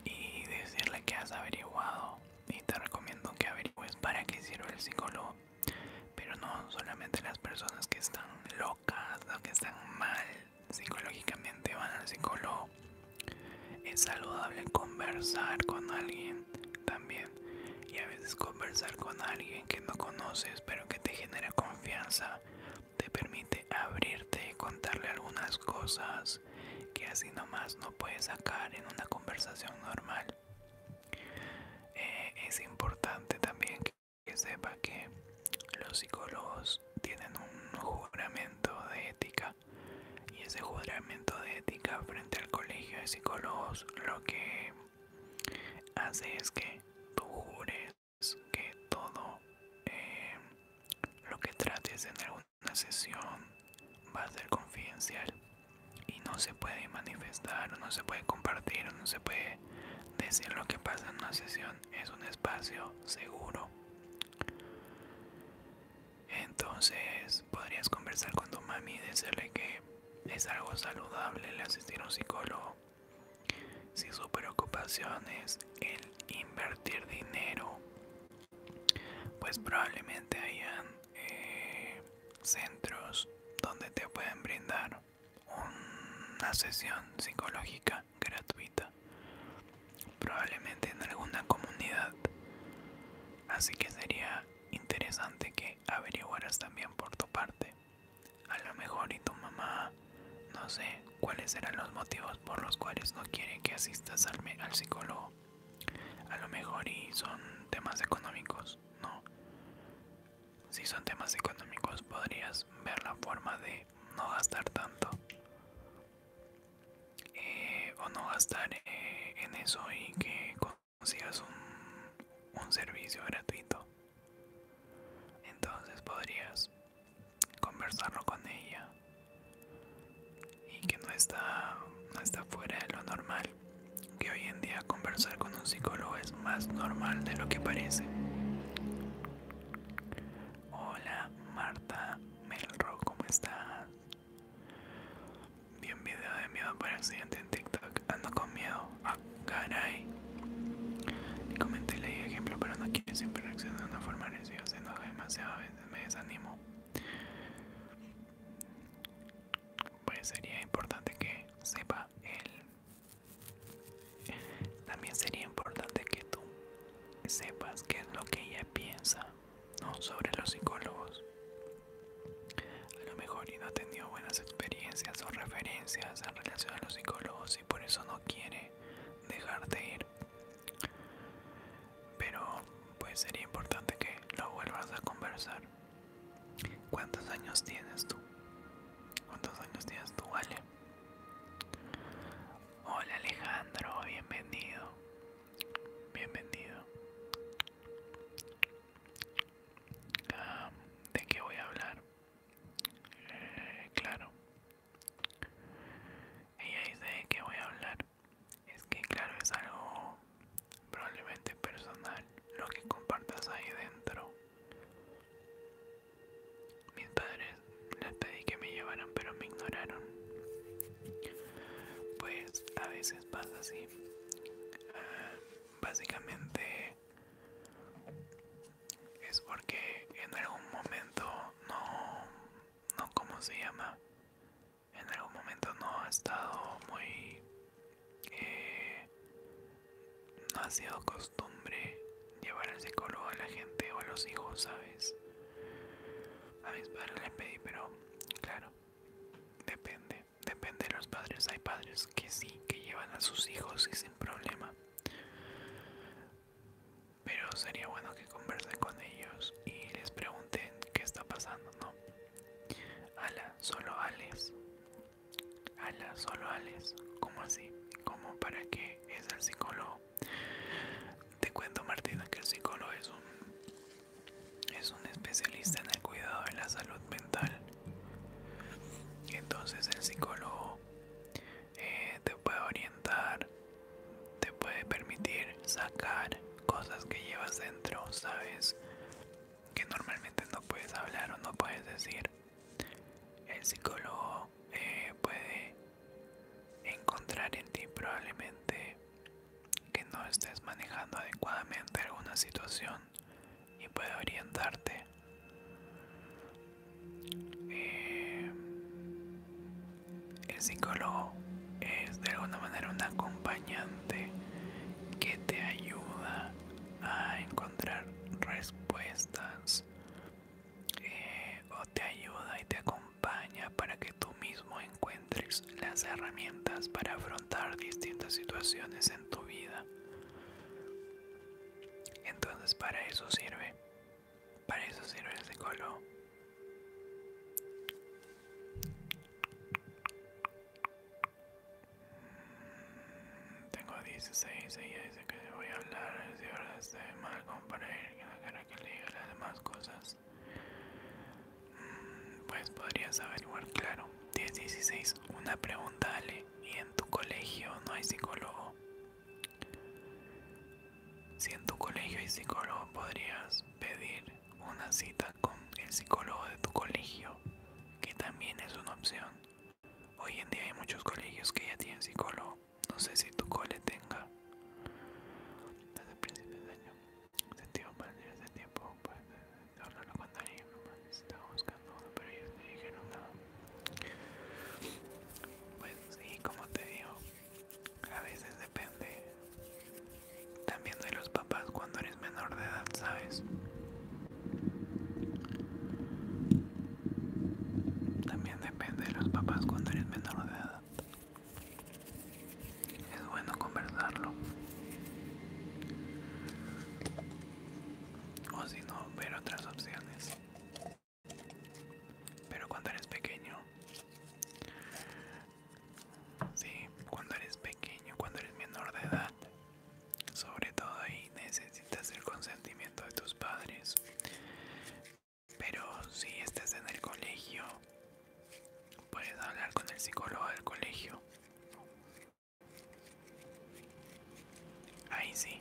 y decirle que has averiguado y te recomiendo que averigues para qué hicieron el psicólogo. Pero no solamente las personas que están locas o que están mal psicológicamente van al psicólogo. Es saludable conversar con alguien también. Y a veces conversar con alguien que no conoces pero que te genera confianza te permite abrirte, contarle algunas cosas que así nomás no puedes sacar en una conversación normal. Eh, es importante también que que sepa que los psicólogos tienen un juramento de ética y ese juramento de ética frente al colegio de psicólogos lo que hace es que tú jures que todo eh, lo que trates en alguna sesión va a ser confidencial y no se puede manifestar, no se puede compartir, no se puede decir lo que pasa en una sesión es un espacio seguro. Entonces podrías conversar con tu mami y decirle que es algo saludable el asistir a un psicólogo. Si su preocupación es el invertir dinero, pues probablemente hayan eh, centros donde te pueden brindar una sesión psicológica gratuita, probablemente en alguna comunidad. Así que sería interesante que averiguaras también por tu parte. A lo mejor y tu mamá, no sé cuáles serán los motivos por los cuales no quiere que asistas al psicólogo. A lo mejor y son temas económicos, ¿no? Si son temas económicos podrías ver la forma de no gastar tanto eh, o no gastar eh, en eso y que consigas un, un servicio gratuito entonces podrías conversarlo con ella y que no está no está fuera de lo normal que hoy en día conversar con un psicólogo es más normal de lo que parece Hola Marta Melro, ¿cómo estás? Bien, un video de miedo por accidente en TikTok. Ando con miedo. a ah, caray. comenté leí ejemplo, pero no quiere siempre reaccionar de una forma Se enoja demasiado, a veces me desanimo. Pues sería importante que sepa él también sería importante que tú sepas qué es lo que ella piensa sobre los psicólogos. A lo mejor ella no ha tenido buenas experiencias o referencias en relación a los psicólogos y por eso no quiere dejarte ir. Pero pues sería importante que lo vuelvas a conversar. ¿Cuántos años tienes tú? ¿Cuántos años tienes tú, Ale? Hola Alejandro, bienvenido. Bienvenido. Ah, ¿De qué voy a hablar? Eh, claro. Ella dice de qué voy a hablar. Es que claro, es algo probablemente personal lo que compartas ahí dentro mis padres les pedí que me llevaran, pero me ignoraron. Pues a veces pasa así. Ah, básicamente es porque en algún momento no, no, ¿cómo se llama? En algún momento no ha estado muy, eh, no ha sido costumbre llevar al psicólogo a la gente o a los hijos, ¿sabes? A mis padres les pedí, pero claro, depende, depende de los padres. Hay padres que sí, que llevan a sus hijos y sin problema. Pero sería bueno que conversen con ellos y les pregunten qué está pasando, ¿no? Ala, solo Ales Ala, solo Ales ¿Cómo así? ¿Cómo? ¿Para qué es el psicólogo? Te cuento Martina que el psicólogo es un, especialista en el cuidado de la salud mental. entonces el psicólogo eh, te puede orientar, te puede permitir sacar cosas que llevas dentro, sabes, que normalmente no puedes hablar o no puedes decir. El psicólogo eh, puede encontrar en ti probablemente que no estés manejando adecuadamente alguna situación y puede orientarte. Eh, el psicólogo es de alguna manera un acompañante que te ayuda a encontrar respuestas eh, o te ayuda y te acompaña para que tú mismo encuentres las herramientas para afrontar distintas situaciones en tu vida. Entonces para eso sirve, para eso sirve el color mm, Tengo 16 y dice que voy a hablar si ahora estoy mal comprender que le diga las demás cosas mm, pues podrías averiguar claro 10.16 una pregunta Ale y en tu colegio no hay psicólogo si en tu colegio hay psicólogo podrías pedir una cita con el psicólogo de tu colegio que también es una opción hoy en día hay muchos colegios que ya tienen psicólogo no sé si tu cole tenga. Desde principio de año sentimos mal de ese tiempo, pues No lo contaría. estaba buscando uno, pero ellos me dijeron No. Pues sí, como te digo, a veces depende también de los papás cuando eres menor de edad, ¿sabes? También depende de los papás cuando eres menor de edad. Es bueno conversarlo. O si no, ver otras opciones. Pero cuando eres pequeño... Sí, cuando eres pequeño, cuando eres menor de edad. Sobre todo ahí necesitas el consentimiento de tus padres. Pero si estás en el colegio, puedes hablar con el psicólogo del colegio. Ahí sí.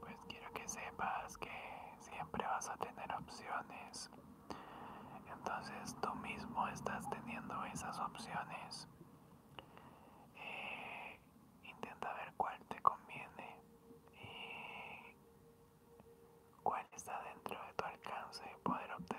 Pues quiero que sepas que siempre vas a tener opciones. Entonces tú mismo estás teniendo esas opciones. Eh, intenta ver cuál te conviene y cuál está dentro de tu alcance poder obtener.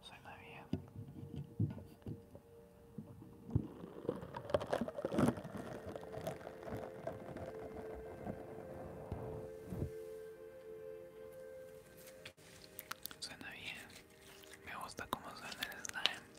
Suena bien, me gusta cómo suena el slime.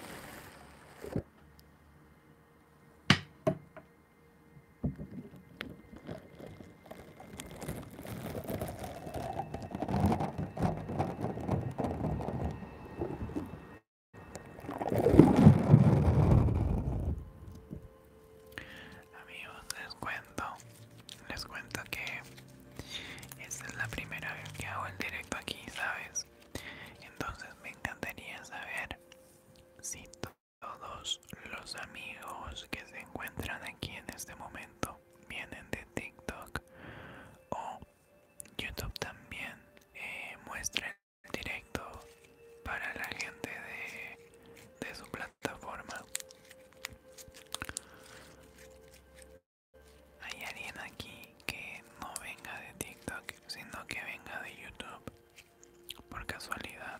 Amigos, les cuento, les cuento que esta es la primera vez que hago el directo aquí, ¿sabes? Entonces me encantaría saber si todos los amigos que se encuentran aquí en este momento vienen de TikTok o YouTube también eh, muestran el directo para la gente de su plataforma. Hay alguien aquí que no venga de TikTok, sino que venga de YouTube. Por casualidad.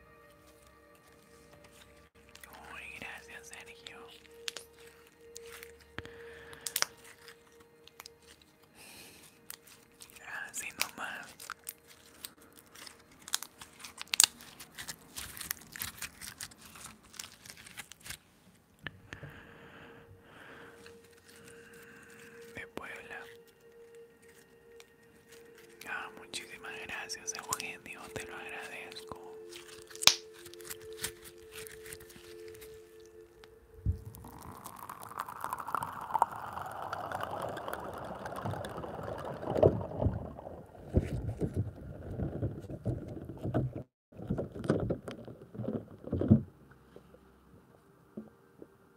gracias, Sergio. Así nomás. De Puebla. Ah, muchísimas gracias, Eugenio, te lo agradezco.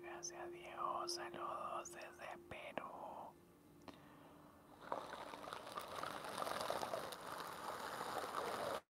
Gracias dios saludos desde Perú.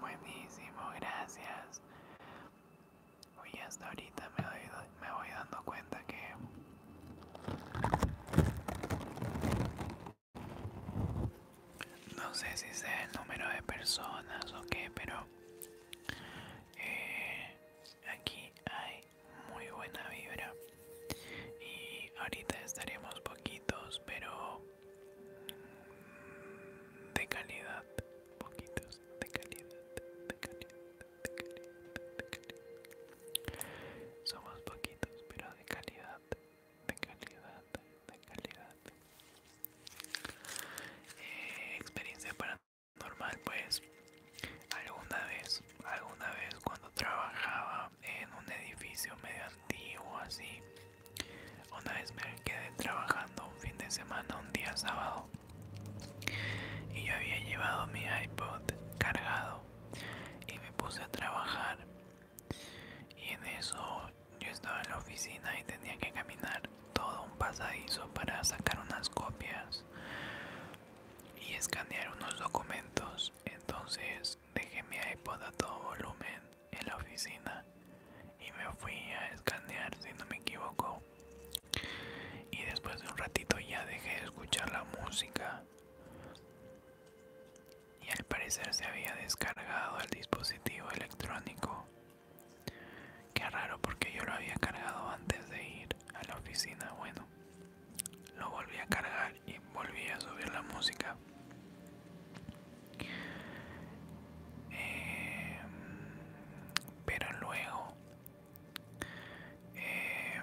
Buenísimo, gracias. Uy, hasta ahorita me, me voy dando cuenta que no sé si sea el número de personas o qué, pero eh, aquí hay muy buena vibra. Y ahorita estaremos poquitos, pero de calidad. Poquitos, de calidad, de calidad, de calidad. Somos poquitos, pero de calidad de calidad, de calidad. Experiencia eh, experiencia paranormal, pues alguna vez, alguna vez cuando trabajaba en un edificio medio antiguo así, una vez me quedé trabajando un fin de semana, un día sábado, y yo había llevado mi iPod cargado y me puse a trabajar y en eso yo estaba en la oficina y tenía que caminar todo un pasadizo para sacar unas copias y escanear unos documentos. Entonces dejé mi iPod a todo volumen en la oficina y me fui a escanear si no me equivoco. Y después de un ratito ya dejé de escuchar la música y al parecer se había descargado el dispositivo electrónico. Qué raro porque yo lo había cargado antes de ir a la oficina. Bueno, lo volví a cargar y volví a subir la música. Em, pero luego em,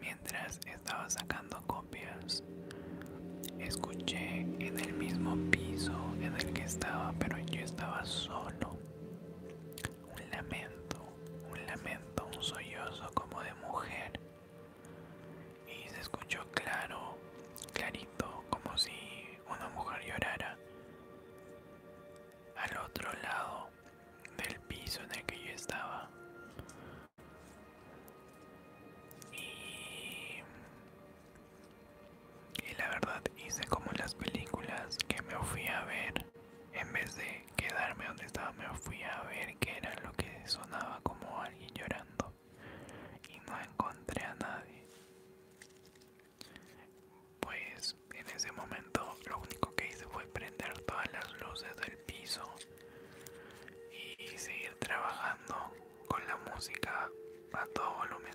Mientras estaba sacando copias, escuché en el mismo piso en el que estaba, pero yo estaba solo, un lamento, un lamento, un sollozo como de mujer. Y se escuchó claro, clarito, como si una mujer llorara. Al otro lado del piso en el que yo estaba y, la verdad hice como las películas que me fui a ver, en vez de quedarme donde estaba, me fui a ver qué era lo que sonaba como alguien llorando y no encontré a nadie. Pues en ese momento lo único que hice fue prender todas las luces del piso y seguir trabajando con la música a todo volumen.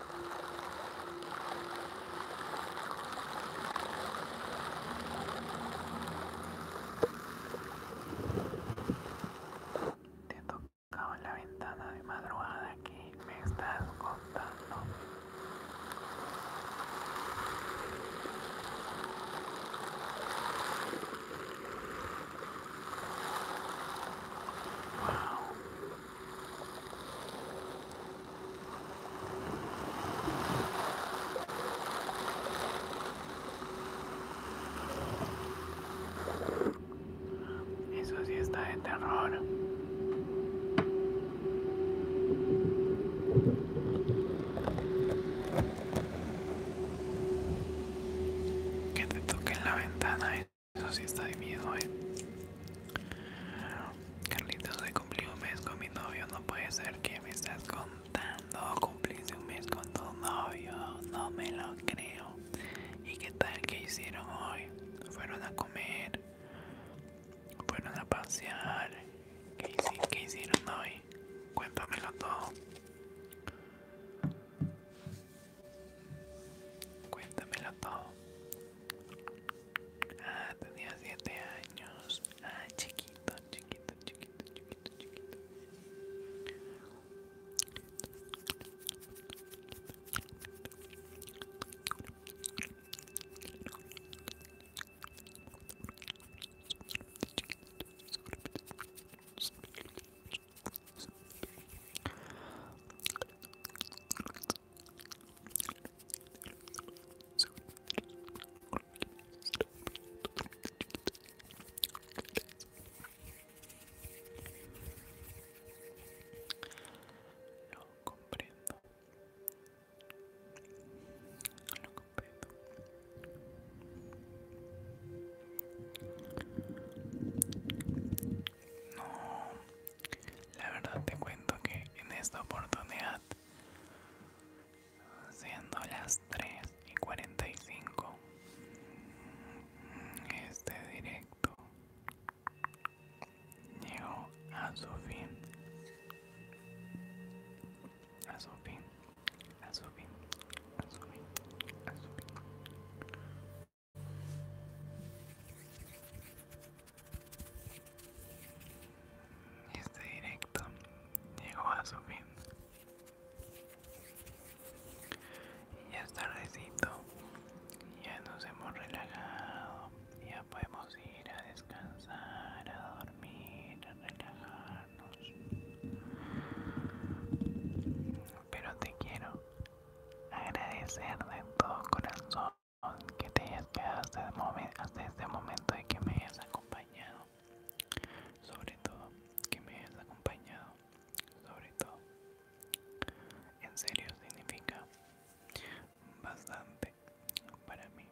Te en la ventana de madrugada que me estás contando. Wow, eso sí está de terror. Que te toquen la ventana eh. Eso sí está de miedo, eh. Carlitos, hoy cumplí un mes con mi novio. No puede ser que me estás contando. Cumpliste un mes con tu novio. No me lo creo. ¿Y qué tal que hicieron hoy? Fueron a comer. Fueron a pasear. ¿Qué, qué hicieron hoy? Cuéntamelo todo. Cuéntamelo todo. Ah, tenía 7 años. Ah, chiquito, chiquito, chiquito, chiquito, chiquito. Lo comprendo. Lo comprendo. No, la verdad te cuento que en esta oportunidad, siendo las 3 y 45, este directo llegó a su fin. A su fin, a su fin, a su fin, a su fin. Este directo llegó a su fin. Y ya es tardecito, ya nos hemos relajado, ya podemos ir a descansar, a dormir, a relajarnos. Pero te quiero agradecer de todo corazón que te hayas quedado hasta, este momento y que me hayas acompañado. Sobre todo, que me hayas acompañado. Sobre todo. En serio significa bastante para mí.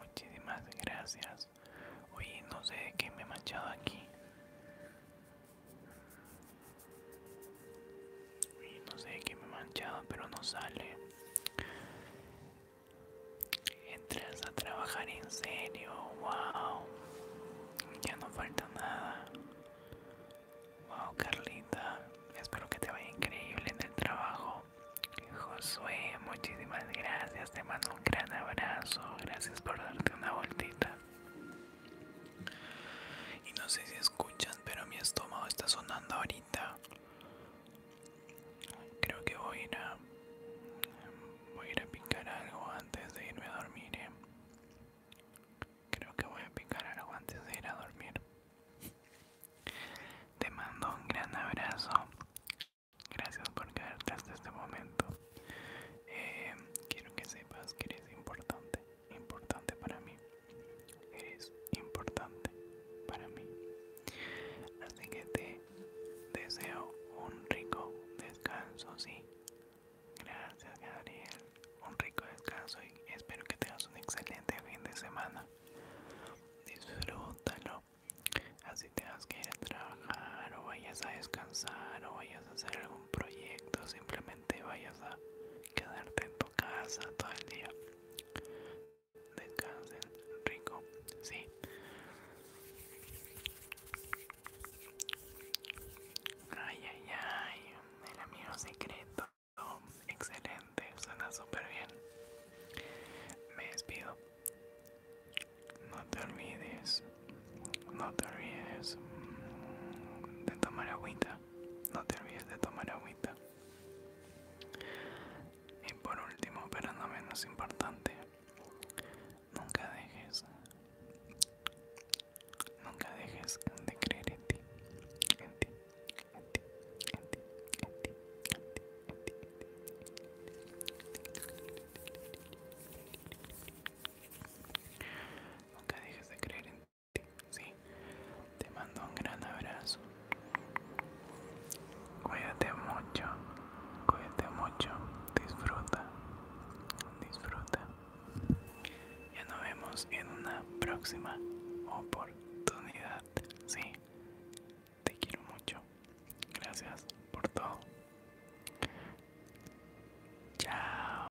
Muchísimas gracias. Oye, no sé de qué me he manchado aquí no sé qué me he manchado, pero no sale. Entras a trabajar en serio, wow. Ya no falta nada. Wow, Carlita. Espero que te vaya increíble en el trabajo. Josué, muchísimas gracias. Te mando un gran abrazo. Gracias por darte una vueltita. Y no sé si escuchan, pero mi estómago está sonando ahorita. Creo que voy a ir a, voy a, picar algo antes de irme a dormir. ¿eh? Creo que voy a picar algo antes de ir a dormir. Te mando un gran abrazo. Gracias por quedarte hasta este momento. Eh, quiero que sepas que eres importante importante para mí. es importante para mí. Así que te deseo un rico descanso, sí. Gracias, Gabriel. Un rico descanso y espero que tengas un excelente fin de semana. Disfrútalo. Así tengas que ir a trabajar o vayas a descansar o vayas a hacer algún proyecto, simplemente vayas a quedarte en tu casa todo el día. Descansen, rico, sí. Ay, ay, ay, el amigo secreto. Excelente, suena súper bien. Me despido. No te olvides, no te olvides de tomar agüita. No te olvides de tomar agüita. Y por último, pero no menos importante, nunca dejes, nunca dejes de creer en ti, en ti, en ti, en ti, en ti, en ti, Nunca dejes de creer en ti te mando un gran abrazo. Cuídate mucho, cuídate mucho, disfruta, disfruta. Ya nos vemos en una próxima oportunidad, sí. Te quiero mucho. Gracias por todo. Chao.